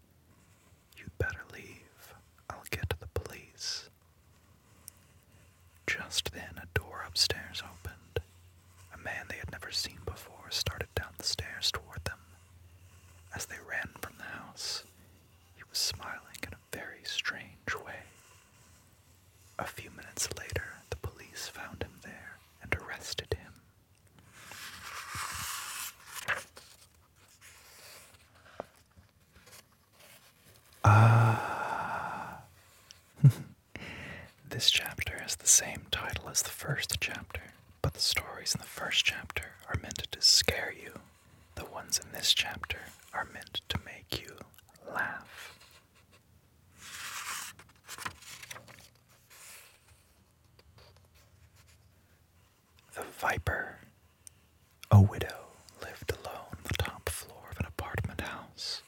you better leave. I'll get the police. Just then, a door upstairs opened. A man they had never seen before started down the stairs toward them. As they ran from the house, he was smiling in a very strange way. A few minutes later, the police found him there and arrested him. Ah. this chapter has the same title as the first chapter, but the stories in the first chapter are meant to scare you. The ones in this chapter are meant to make you laugh. The Viper. A widow lived alone on the top floor of an apartment house.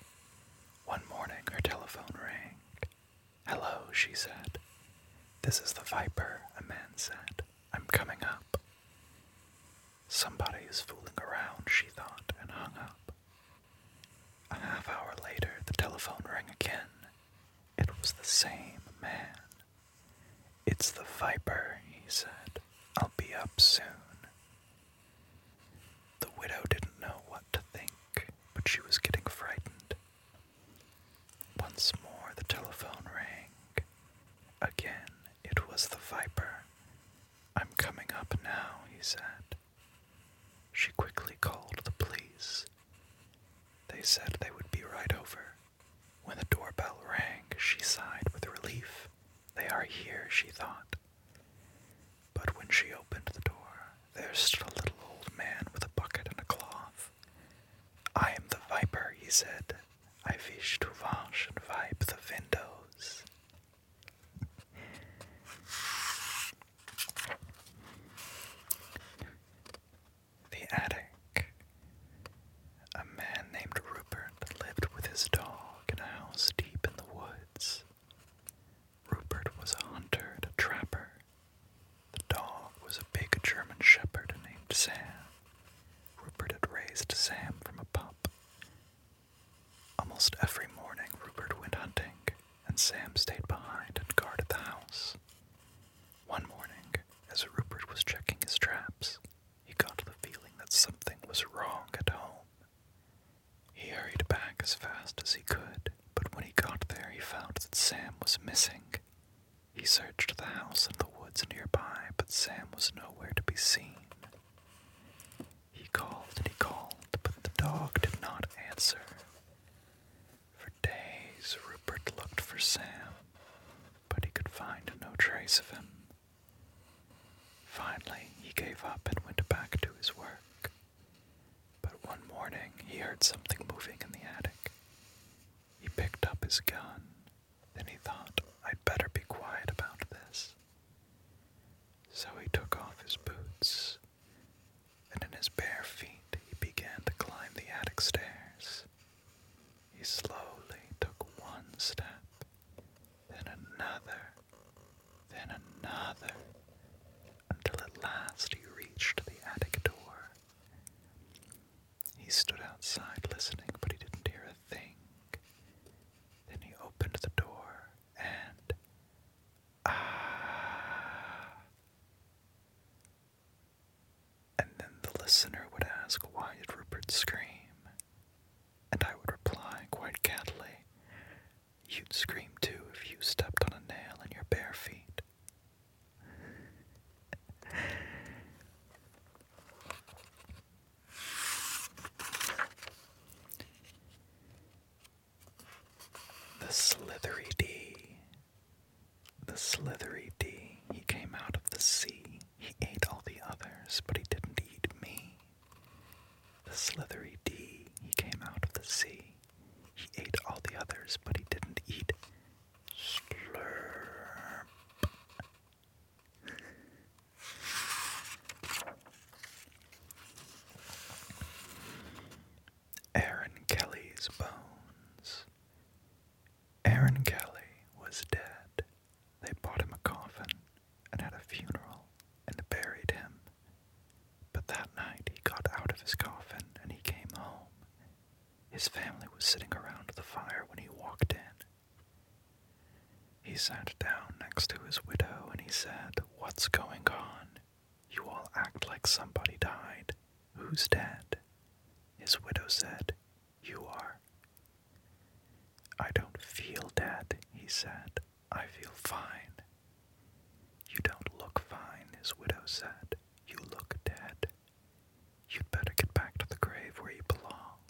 One morning, her telephone rang. Hello, she said. This is the Viper, a man said. I'm coming up. Somebody is fooling around, she thought, and hung up. A half hour later, the telephone rang again. It was the same man. It's the Viper, he said. I'll be up soon. The widow didn't know what to think, but she was getting frightened. Once more, the telephone rang. Again, it was the Viper. I'm coming up now, he said. She quickly called the police. They said they would be right over. When the doorbell rang, she sighed with relief. They are here, she thought. But when she opened the door, there stood a little old man with a bucket and a cloth. I am the viper, he said. I wish to wash and wipe the windows. The attic. A man named Rupert lived with his dog in a house deep in the woods. Rupert was a hunter and a trapper. The dog was a big German shepherd named Sam. Rupert had raised Sam from a pup. Almost every morning, Rupert went hunting and Sam stayed behind and guarded the house. One morning, as Rupert was checking his traps, he got the feeling that something was wrong at home. He hurried back as fast as he could, but when he got there, he found that Sam was missing. He searched the house and the woods nearby, but Sam was nowhere to be seen. He called and he called, but the dog did not answer. For days Rupert looked for Sam, but he could find no trace of him. Finally, he gave up and went back to his work. But one morning, he heard something moving in the attic. He picked up his gun. Then he thought, I'd better be quiet about this. So he took off his boots and in his bare feet he began to climb the attic stairs. He slowly took one step, then another, then another, until at last he reached the attic door. He stood outside listening, but he didn't hear a thing. Then he opened the door, and And then the listener would ask, Why did Rupert scream? And I would reply quite cattily, You'd scream too if you stepped on a nail in your bare feet. The Slithery D. The Slithery D. He came out of the sea. He ate all the others, but he didn't eat me. The Slithery D. He came out of the sea. He ate all the others, but he didn't eat. Slurp. Aaron Kelly's bones. Aaron Kelly was dead. They bought him a coffin and had a funeral and buried him. But that night he got out of his coffin and he came home. His family was sitting around the fire when he walked in. He sat down next to his widow and he said, What's going on? You all act like somebody died. Who's dead? His widow said, You are. I don't feel dead, he said. I feel fine. You don't look fine, his widow said. You look dead. You'd better get back to the grave where you belong.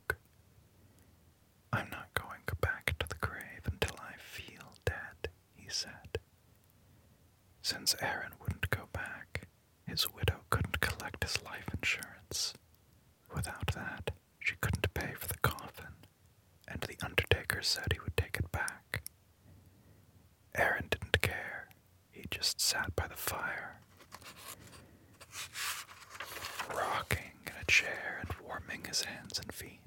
I'm not going back to the grave until I feel dead, he said. Since Aaron wouldn't go back, his widow couldn't collect his life insurance. Without that, she couldn't pay for the coffin, and the undertaker said he would take it back. Aaron didn't care, he just sat by the fire, rocking in a chair and warming his hands and feet.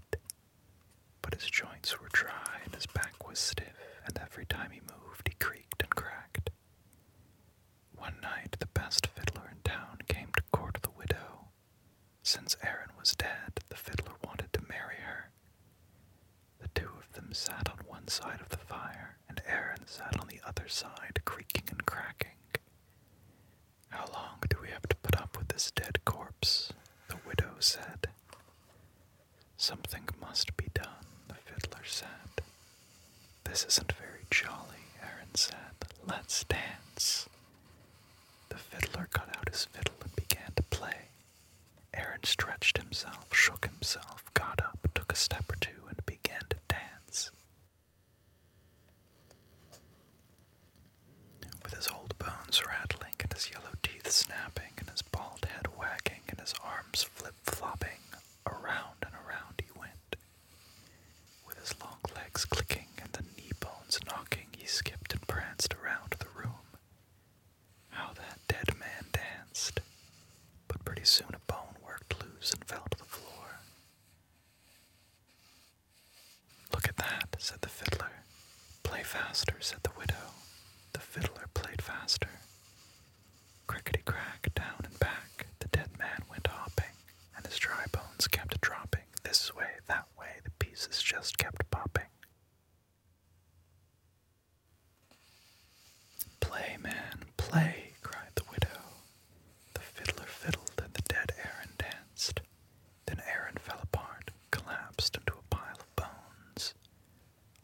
But his joints were dry and his back was stiff, and every time he moved he creaked and cracked. One night the best fiddler in town came to court the widow. Since Aaron was dead, the fiddler wanted to marry her. The two of them sat on one side of the fire, and Aaron sat on the other side, creaking and cracking. How long do we have to put up with this dead corpse? The widow said. Something must be done, the fiddler said. This isn't very jolly, Aaron said. Let's dance. The fiddler got out his fiddle and began to play. Aaron stretched himself, shook himself, got up, took a step or two, and began to dance. With his old bones rattling and his yellow teeth snapping, and his bald head wagging and his arms flip flopping. Around and around he went. With his long legs clicking and the knee bones knocking, he skipped and pranced around the room. How that dead man danced! But pretty soon a bone worked loose and fell to the floor. Look at that, said the fiddler. Play faster, said the widow. The fiddler played faster. Crickety crack, down and back, the dead man went hopping, and his dry bones kept dropping. This way, that way, the pieces just kept popping. Play, man, play, cried the widow. The fiddler fiddled, and the dead Aaron danced. Then Aaron fell apart, collapsed into a pile of bones.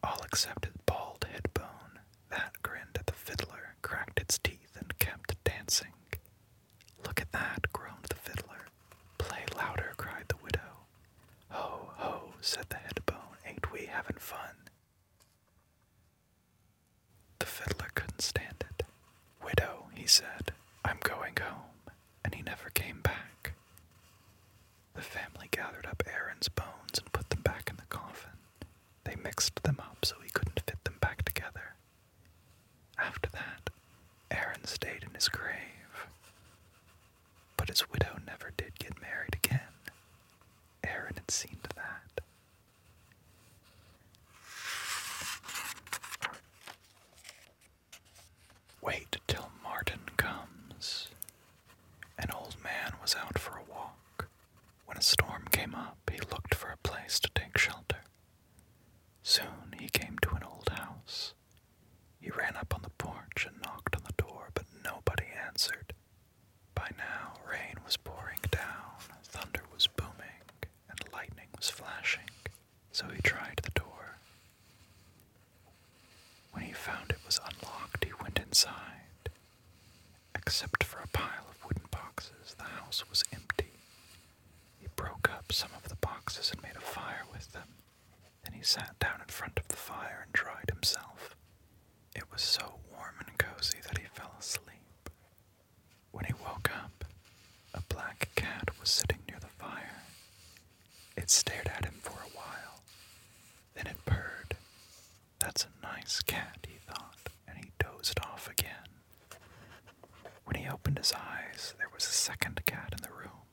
All except his bald head bone, that grinned at the fiddler, cracked its teeth, and kept dancing. Look at that, groaned the fiddler. Play louder, cried the widow. Ho, ho, said the head bone, ain't we having fun? The fiddler couldn't stand it. Widow, he said, I'm going home, and he never came back. The family gathered up Aaron's bones and put them back in the coffin. They mixed them up so he couldn't fit them back together. After that, Aaron stayed in his grave. But his widow never did get married again. Aaron had seen to that. Wait till Martin comes. An old man was out for a walk. When a storm came up, he looked for a place to take shelter. Soon he came to an old house. He ran up on the porch and knocked on the door, but nobody answered. By now, rain was pouring down, thunder was booming, and lightning was flashing. So he tried the door, when he found it was unlocked, he went inside. Except for a pile of wooden boxes, the house was empty. He broke up some of the boxes and made a fire with them. Then he sat down in front of the fire and dried himself. It was so warm and cozy that he fell asleep. When he woke up, a black cat was sitting near the fire. It stared at him for a while. Then it purred. That's a nice cat, he thought, and he dozed off again. When he opened his eyes, there was a second cat in the room,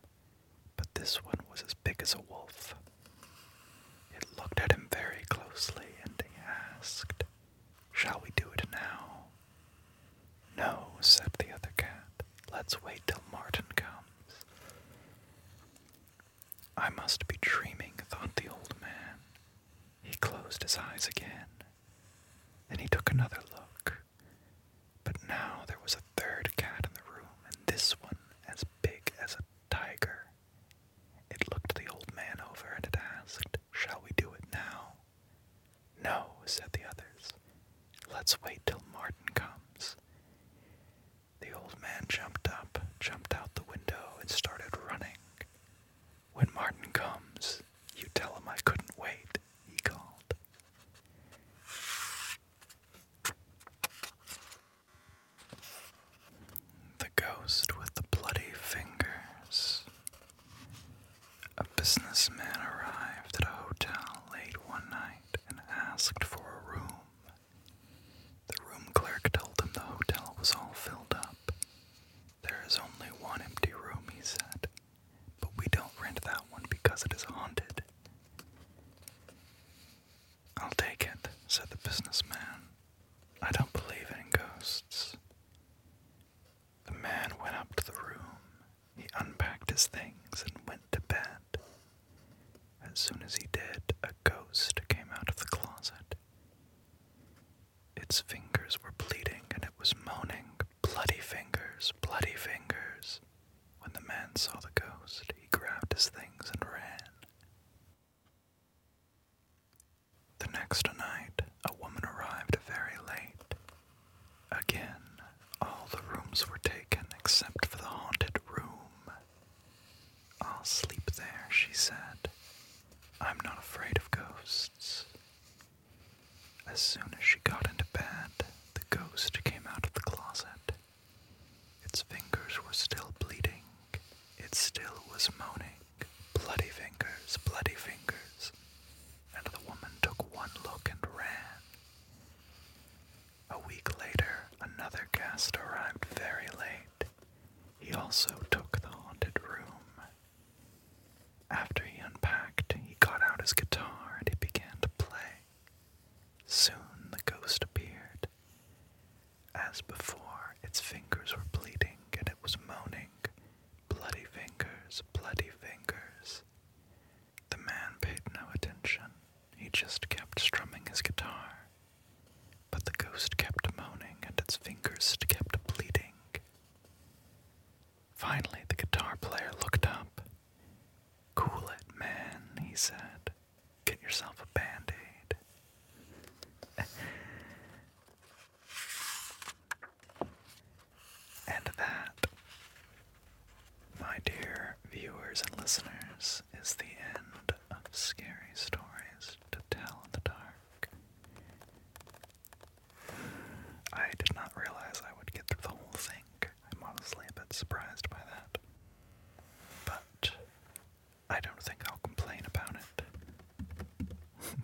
but this one was as big as a wolf. It looked at him very closely and asked, Shall we do it now? No, said the other cat. Let's wait till Martin comes. I must be dreaming, thought the old man. He closed his eyes again. Then he took another look. But now there was a third cat in the room, and this one as big as a tiger. It looked the old man over and it asked, Shall we do it now? No, said the others. Let's wait till Martin comes. The old man jumped up, jumped out the window, and started running. When Martin comes, you tell him I couldn't wait, he called. The Ghost with the Bloody Fingers. A businessman arrived at a hotel late one night and asked for a room. The room clerk told him the hotel was all filled up. There is only one empty room, he said, but we don't rent that one because it is haunted. I'll take it, said the businessman. I don't believe in ghosts. The man went up to the room. He unpacked his things and went to bed. As soon as he did, a ghost came out of the closet. Its fingers were bleeding and it was moaning, Bloody fingers, bloody fingers. When the man saw the ghost, he grabbed his things and ran. The next night, a woman arrived very late. Again, all the rooms were taken except for the haunted room. I'll sleep there, she said. I'm not afraid of ghosts. As soon as she got into bed, the ghost came out of the closet. Its fingers were still bleeding. It still was moaning, bloody fingers, bloody fingers. And the woman took one look and ran. A week later, another guest arrived very late. He also took the haunted room. After he unpacked, he got out his guitar and he began to play. Soon the ghost appeared. As before, its fingers were bleeding and it was moaning, Bloody fingers, bloody fingers. The man paid no attention. He just kept strumming his guitar. But the ghost kept moaning and its fingers kept bleeding. Finally, the guitar player looked up. Cool it, man, he said. Get yourself a band aid. and that my dear viewers and listeners, is the end of Scary Stories to Tell in the Dark. I did not realize I would get the whole thing. I'm honestly a bit surprised by that. But I don't think I'll complain about it.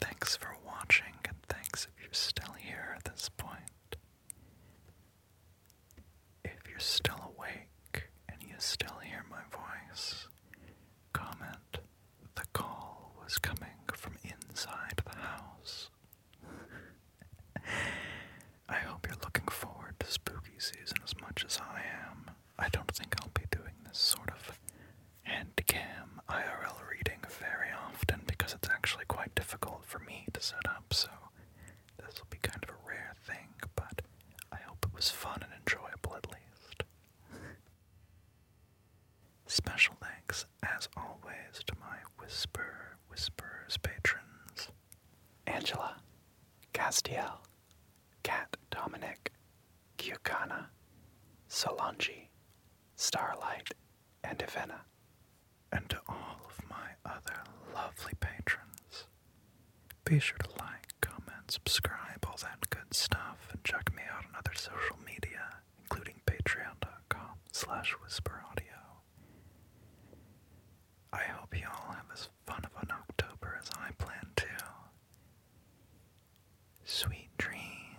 thanks for watching, and thanks if you're still here at this point. If you're still awake and you still hear my voice, comment the call was coming from inside the house. I hope you're looking forward to spooky season as much as I am. I don't think I'll be doing this sort of handcam IRL reading very often because it's actually quite difficult for me to set up, so this will be kind of a rare thing, but I hope it was fun and enjoyable at least. Special thanks, as always, to my Whisper Whisperers patrons Angela, Castiel, Cat Dominic, Kiokana, Solange, Starlight, and Ivenna, and to all of my other lovely patrons. Be sure to like, comment, subscribe, all that good stuff, and check me out on other social media, including patreon.com slash whisperaudio. I hope you all have as fun of an October as I plan to. Sweet dreams.